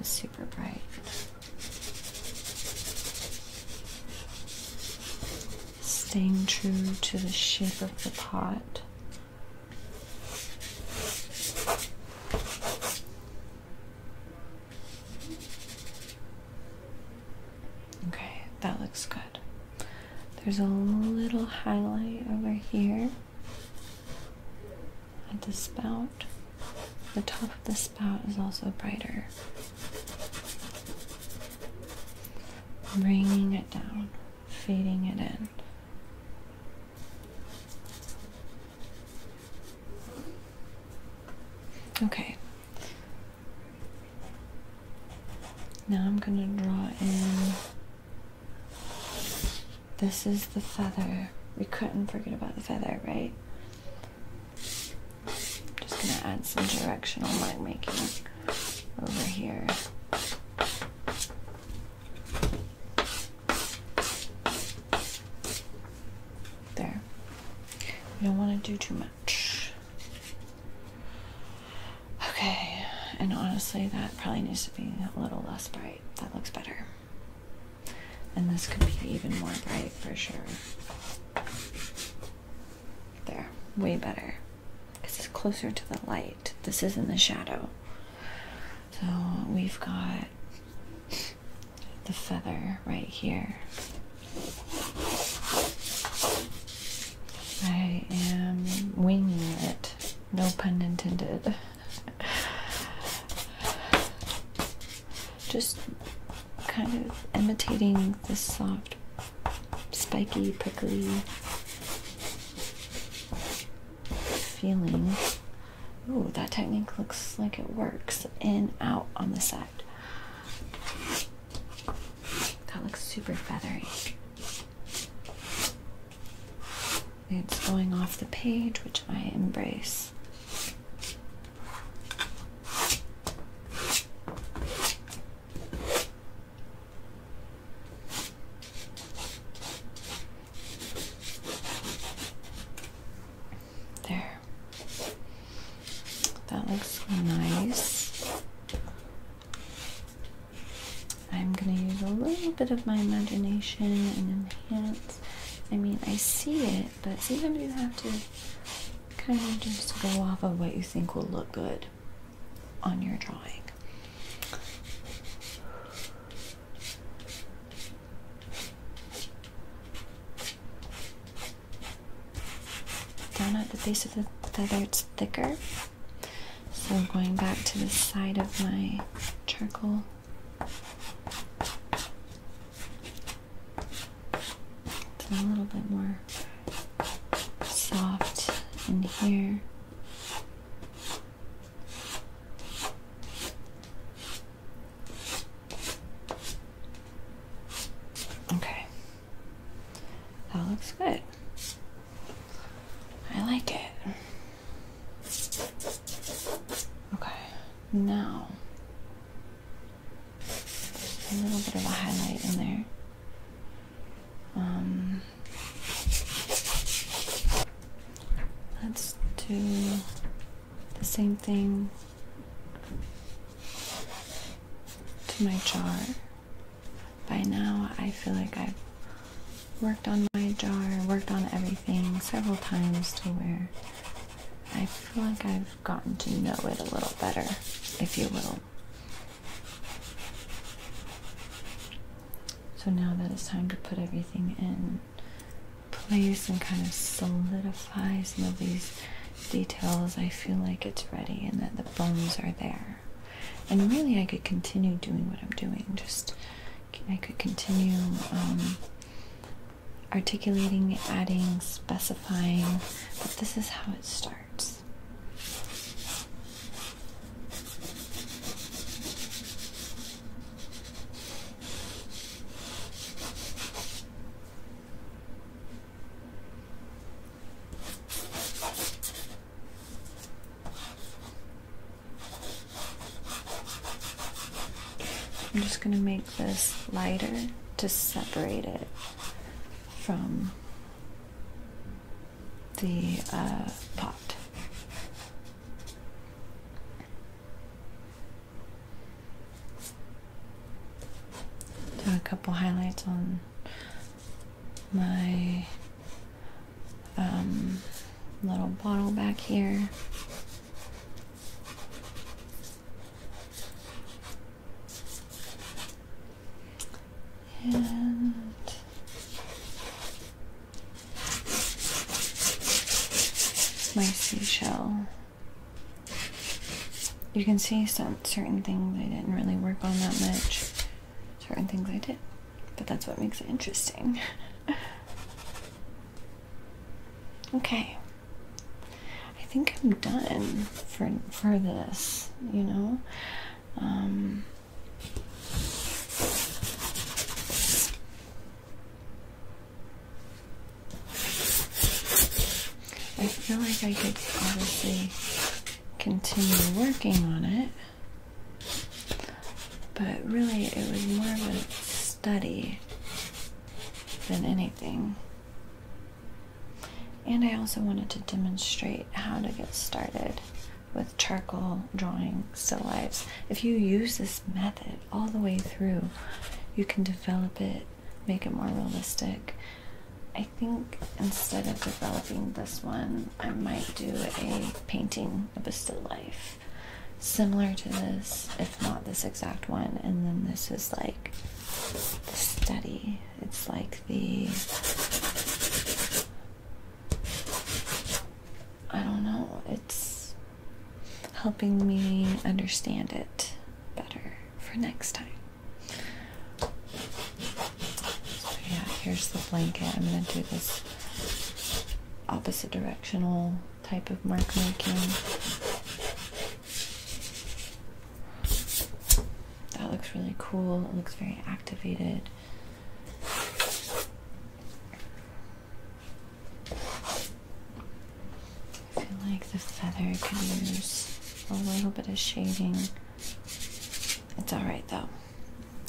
is super super Staying true to the shape of the pot. Okay, that looks good. There's a little highlight over here at the spout. The top of the spout is also brighter, bringing it down, fading it in. Okay. Now I'm going to draw in this is the feather. We couldn't forget about the feather, right? I'm Just gonna add some directional mark making over here. There. We don't want to do too much. Okay, and honestly, that probably needs to be a little less bright. That looks better. And this could be even more bright for sure. There, way better. Because it's closer to the light. This is in the shadow. So we've got the feather right here. I am winging it, no pun intended. Just kind of imitating this soft, spiky, prickly feeling. Ooh, that technique looks like it works. In, out on the side. That looks super feathery. It's going off the page, which I embrace. There. That looks nice. I'm going to use a little bit of my imagination and enhance I mean, I see it, but sometimes you have to kind of just go off of what you think will look good on your drawing. Down at the base of the feather, it's thicker. So, I'm going back to the side of my charcoal it's a little bit more soft in here. Okay. That looks good. I like it. Okay. Now, a little bit of a highlight in there. Um, let's do the same thing to my jar. By now, I feel like I've worked on my jar, worked on everything several times to where I feel like I've gotten to know it a little better, if you will. So now that it's time to put everything in place and kind of solidify some of these details, I feel like it's ready and that the bones are there. And really, I could continue doing what I'm doing, just I could continue um, articulating, adding, specifying, but this is how it starts. I'm just going to make this lighter to separate it from the uh, pot. Do a couple highlights on my um, little bottle back here. And my seashell. You can see some certain things I didn't really work on that much, certain things I did, but that's what makes it interesting. Okay. I think I'm done for for this, you know. Um, I feel like I could obviously continue working on it, but really it was more of a study than anything. And I also wanted to demonstrate how to get started with charcoal drawing still lifes. If you use this method all the way through, you can develop it, make it more realistic. I think instead of developing this one, I might do a painting of a still life similar to this, if not this exact one. And then this is like the study. It's like the I don't know. It's helping me understand it better for next time. So yeah, here's the blanket. I'm gonna do this opposite directional type of mark making. That looks really cool. It looks very activated. I feel like this feather could use a little bit of shading. It's alright though.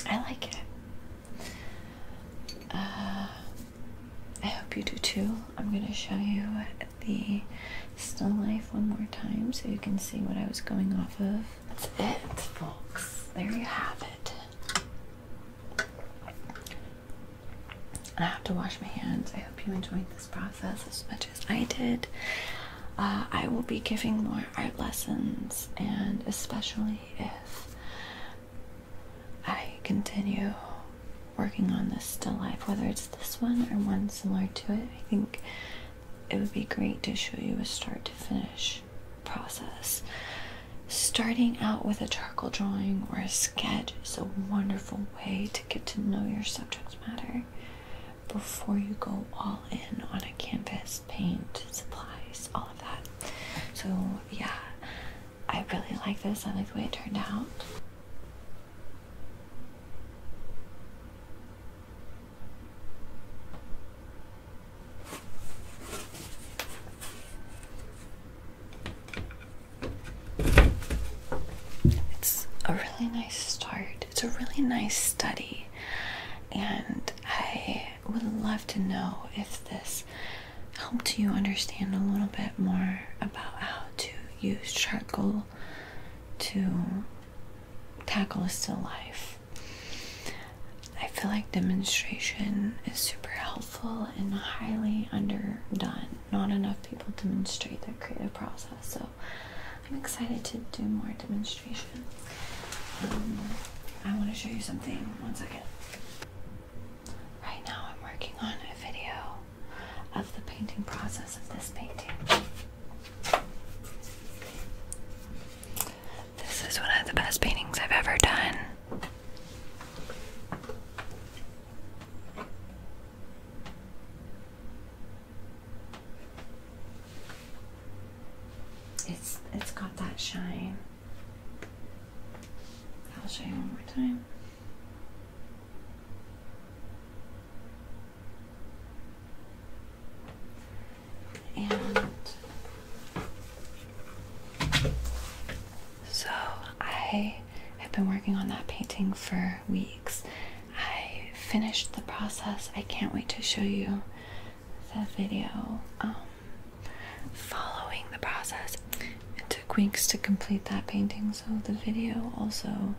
I like it. Uh, I hope you do too. I'm going to show you the still life one more time so you can see what I was going off of. That's it, folks. There you have it. I have to wash my hands. I hope you enjoyed this process as much as I did. Uh, I will be giving more art lessons, and especially if I continue working on this still life, whether it's this one or one similar to it. I think it would be great to show you a start to finish process. Starting out with a charcoal drawing or a sketch is a wonderful way to get to know your subject matter before you go all in on a canvas, paint, supplies, all of that. So, yeah, I really like this. I like the way it turned out. It's a really nice start. It's a really nice study. And I would love to know if this helped you understand a little bit more about how to use charcoal to tackle a still life. I feel like demonstration is super helpful and highly underdone. Not enough people demonstrate their creative process, so I'm excited to do more demonstration. Um, I want to show you something. One second. Right now I'm working on a video of the painting process of this painting. This is one of the best paintings I've ever done. It's it's got that shine. I'll show you one more time. And so I have been working on that painting for weeks. I finished the process. I can't wait to show you the video um, following the process. It took weeks to complete that painting, so the video also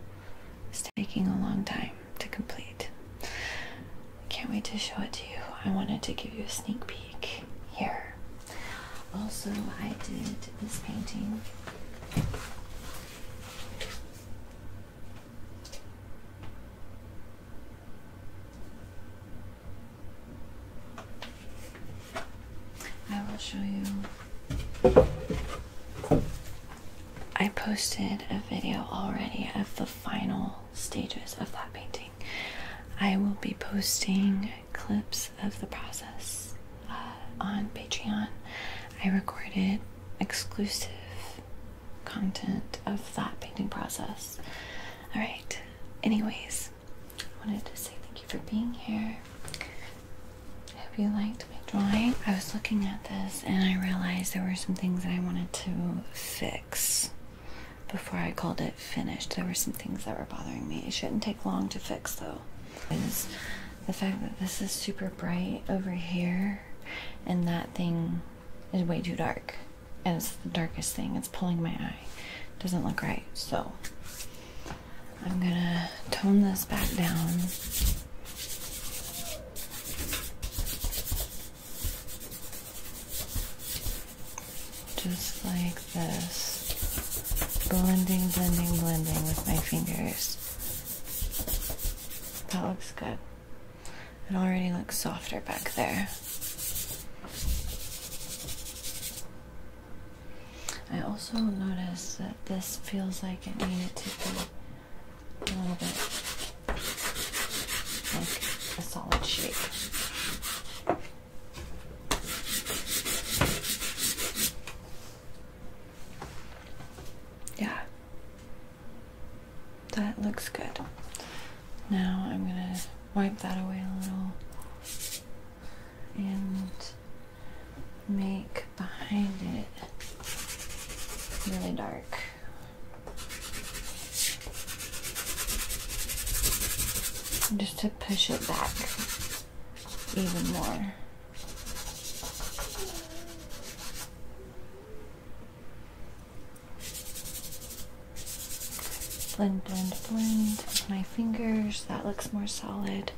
is taking a long time to complete. I can't wait to show it to you. I wanted to give you a sneak peek here. Also, I did this painting. I will show you I posted a video already of the final stages of that painting. I will be posting clips of the process uh, on Patreon. I recorded exclusive content of that painting process. All right. Anyways, I wanted to say thank you for being here. I hope you liked my drawing. I was looking at this and I realized there were some things that I wanted to fix before I called it finished. There were some things that were bothering me. It shouldn't take long to fix though. Is the fact that this is super bright over here and that thing is way too dark. And it's the darkest thing. It's pulling my eye. doesn't look right. So I'm gonna tone this back down. Just like this. Blending, blending, blending with my fingers. That looks good. It already looks softer back there. I also noticed this feels like it needed to be a little bit like a solid shape. Yeah, that looks good. Now I'm gonna wipe that away a little and make behind it really dark. Just to push it back even more. Blend, blend, blend with my fingers. That looks more solid.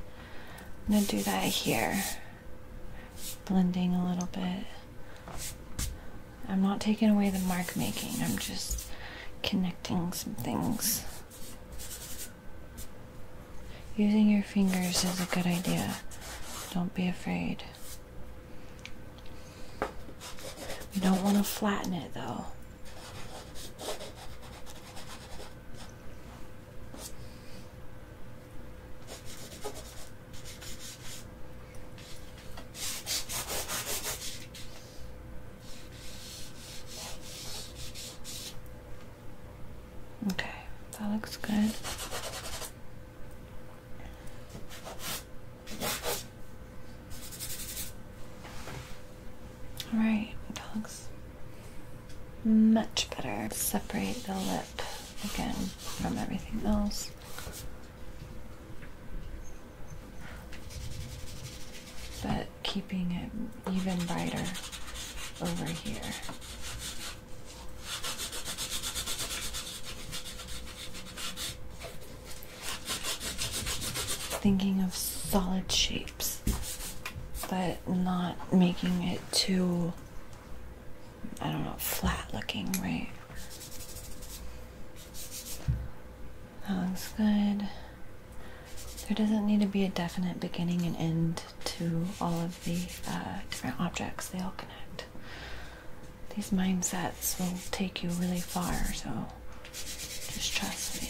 I'm gonna do that here blending a little bit. I'm not taking away the mark making, I'm just connecting some things. Using your fingers is a good idea. Don't be afraid. We don't want to flatten it though. Okay, that looks good. All right, that looks much better. Separate the lip again from everything else. But keeping it even brighter over here. Thinking of solid shapes, but not making it too I don't know, flat looking, right? That looks good. There doesn't need to be a definite beginning and end to all of the uh, different objects, they all connect. These mindsets will take you really far, so just trust me.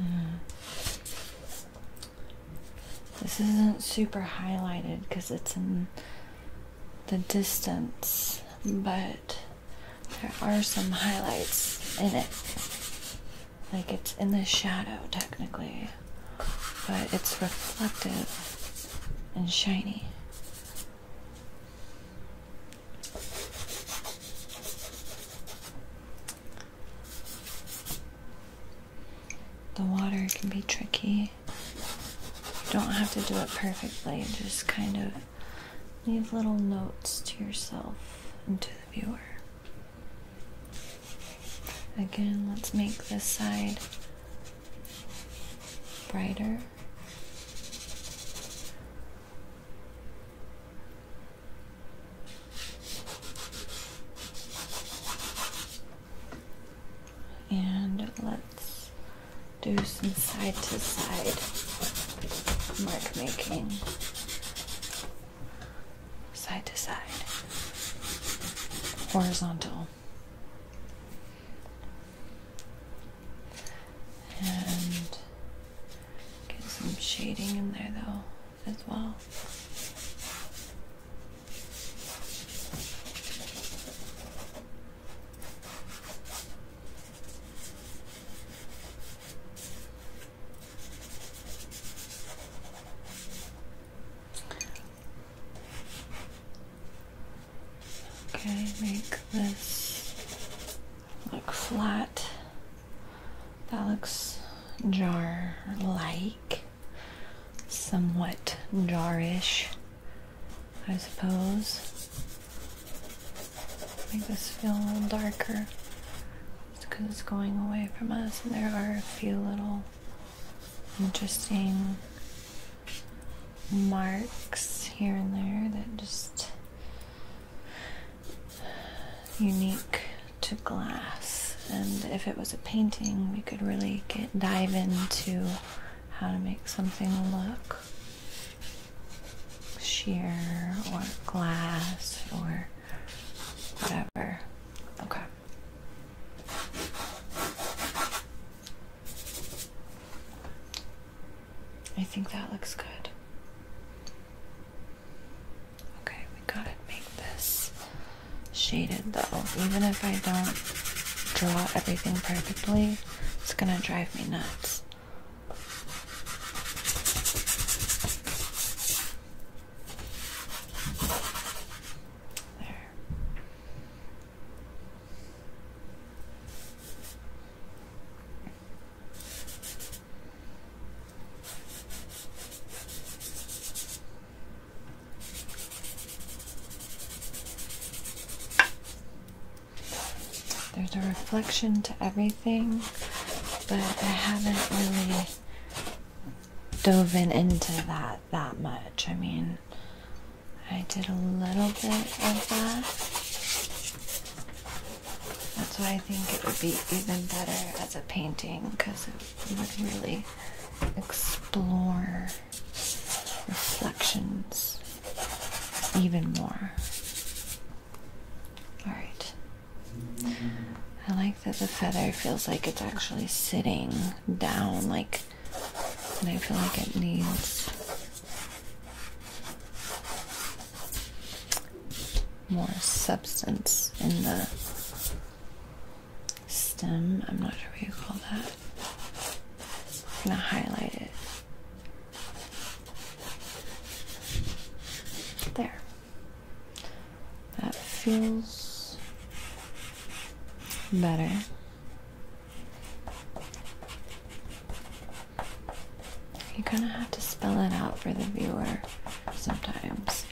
Uh, this isn't super highlighted because it's in the distance, but there are some highlights in it. Like it's in the shadow, technically, but it's reflective and shiny. The water can be tricky. You don't have to do it perfectly, just kind of leave little notes to yourself and to the viewer. Again, let's make this side brighter. And let's do some side to side mark making. Side to side. Horizontal. And get some shading in there though as well. Okay, make this look flat. That looks jar-like, somewhat jar-ish, I suppose. Make this feel a little darker. It's because it's going away from us, and there are a few little interesting marks here and there that just unique to glass and if it was a painting we could really get dive into how to make something look sheer or glass or whatever okay I think that looks good. Okay, we gotta make this shaded though. Even if I don't draw everything perfectly, it's gonna drive me nuts. There. There's a reflection to everything, but I haven't really dove in into that that much. I mean, I did a little bit of that. That's why I think it would be even better as a painting because it would really explore reflections even more. Alright. I like that the feather feels like it's actually sitting down, like, and I feel like it needs more substance in the stem. I'm not sure what you call that. I'm gonna highlight it. There. That feels better you kind of have to spell it out for the viewer sometimes.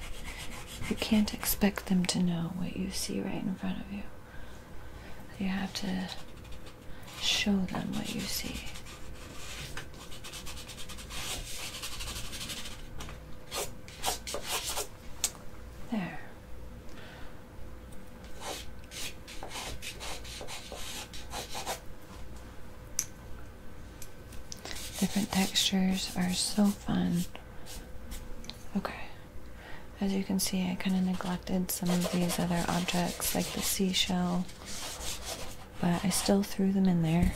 You can't expect them to know what you see right in front of you. You have to show them what you see. There. Different textures are so fun. Okay. As you can see, I kind of neglected some of these other objects, like the seashell, but I still threw them in there.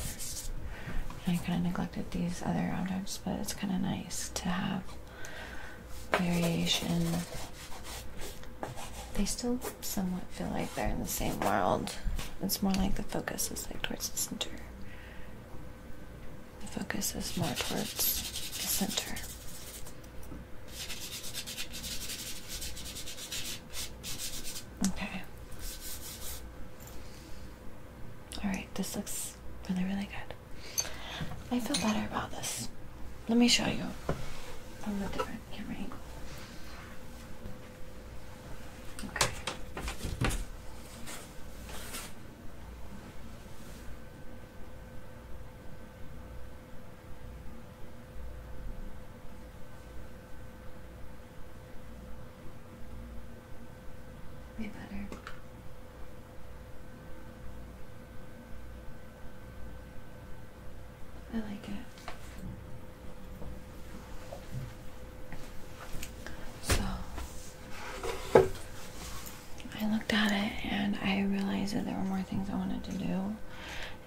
I kind of neglected these other objects, but it's kind of nice to have variation. They still somewhat feel like they're in the same world. It's more like the focus is like towards the center. The focus is more towards the center. Okay. Alright, this looks really, really good. I feel better about this. Let me show you camera Okay. Way better. I like it. So I looked at it and I realized that there were more things I wanted to do.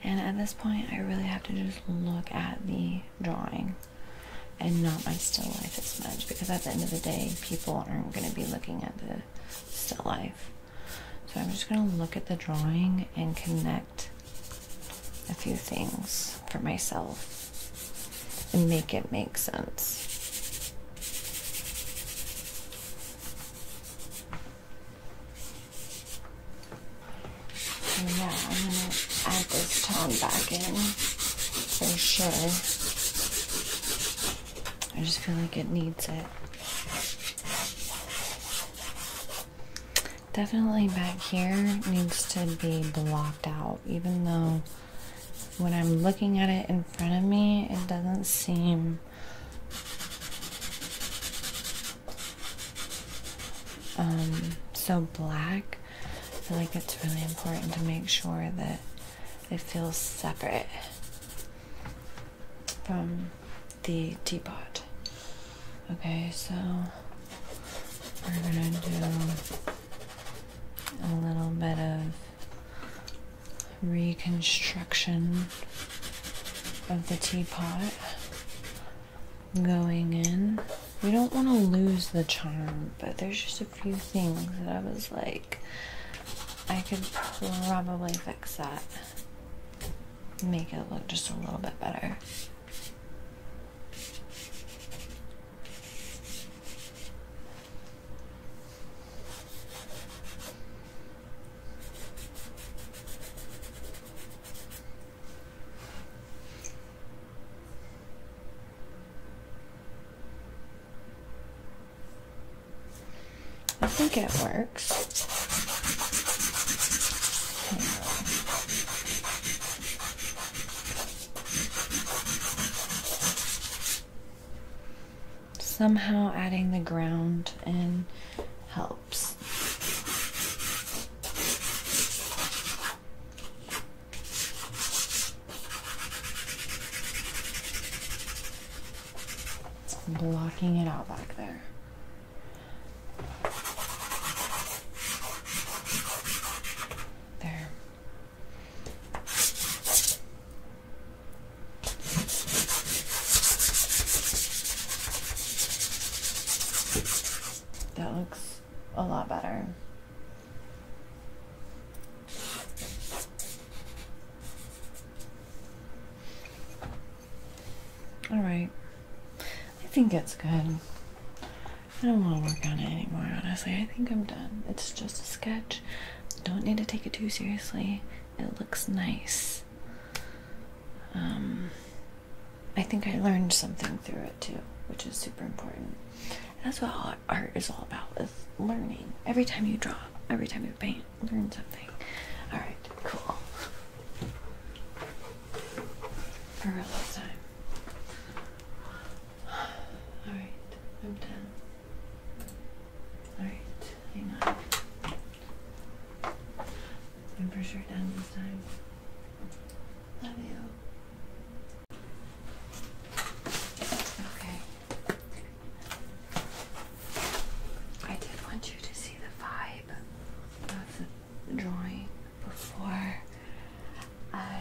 And at this point, I really have to just look at the drawing and not my still life as much because at the end of the day, people aren't going to be looking at the still life. So I'm just going to look at the drawing and connect a few things for myself and make it make sense. yeah, I'm going to add this tone back in for sure. I just feel like it needs it definitely back here needs to be blocked out, even though when I'm looking at it in front of me, it doesn't seem um, so black. I feel like it's really important to make sure that it feels separate from the teapot. Okay, so we're gonna do a little bit of reconstruction of the teapot going in. We don't want to lose the charm, but there's just a few things that I was like, I could probably fix that make it look just a little bit better. I think it worked. Somehow adding the ground in helps. Blocking it out back there. There. That looks a lot better. Alright. I think it's good. I don't want to work on it anymore, honestly. I think I'm done. It's just a sketch. Don't need to take it too seriously. It looks nice. Um, I think I learned something through it too, which is super important. that's what art is all about, is learning. Every time you draw, every time you paint, learn something. Alright, cool. For real this time. Alright, I'm done. Alright, hang on. I'm for sure done this time. Love you. Okay. I did want you to see the vibe drawing before I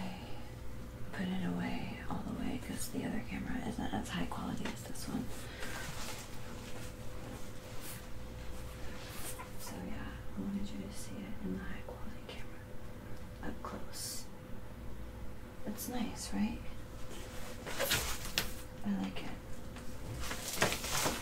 put it away all the way because the other camera isn't as high quality as this one. So yeah, I wanted you to see it in the high quality camera up close. That's nice, right? I like it.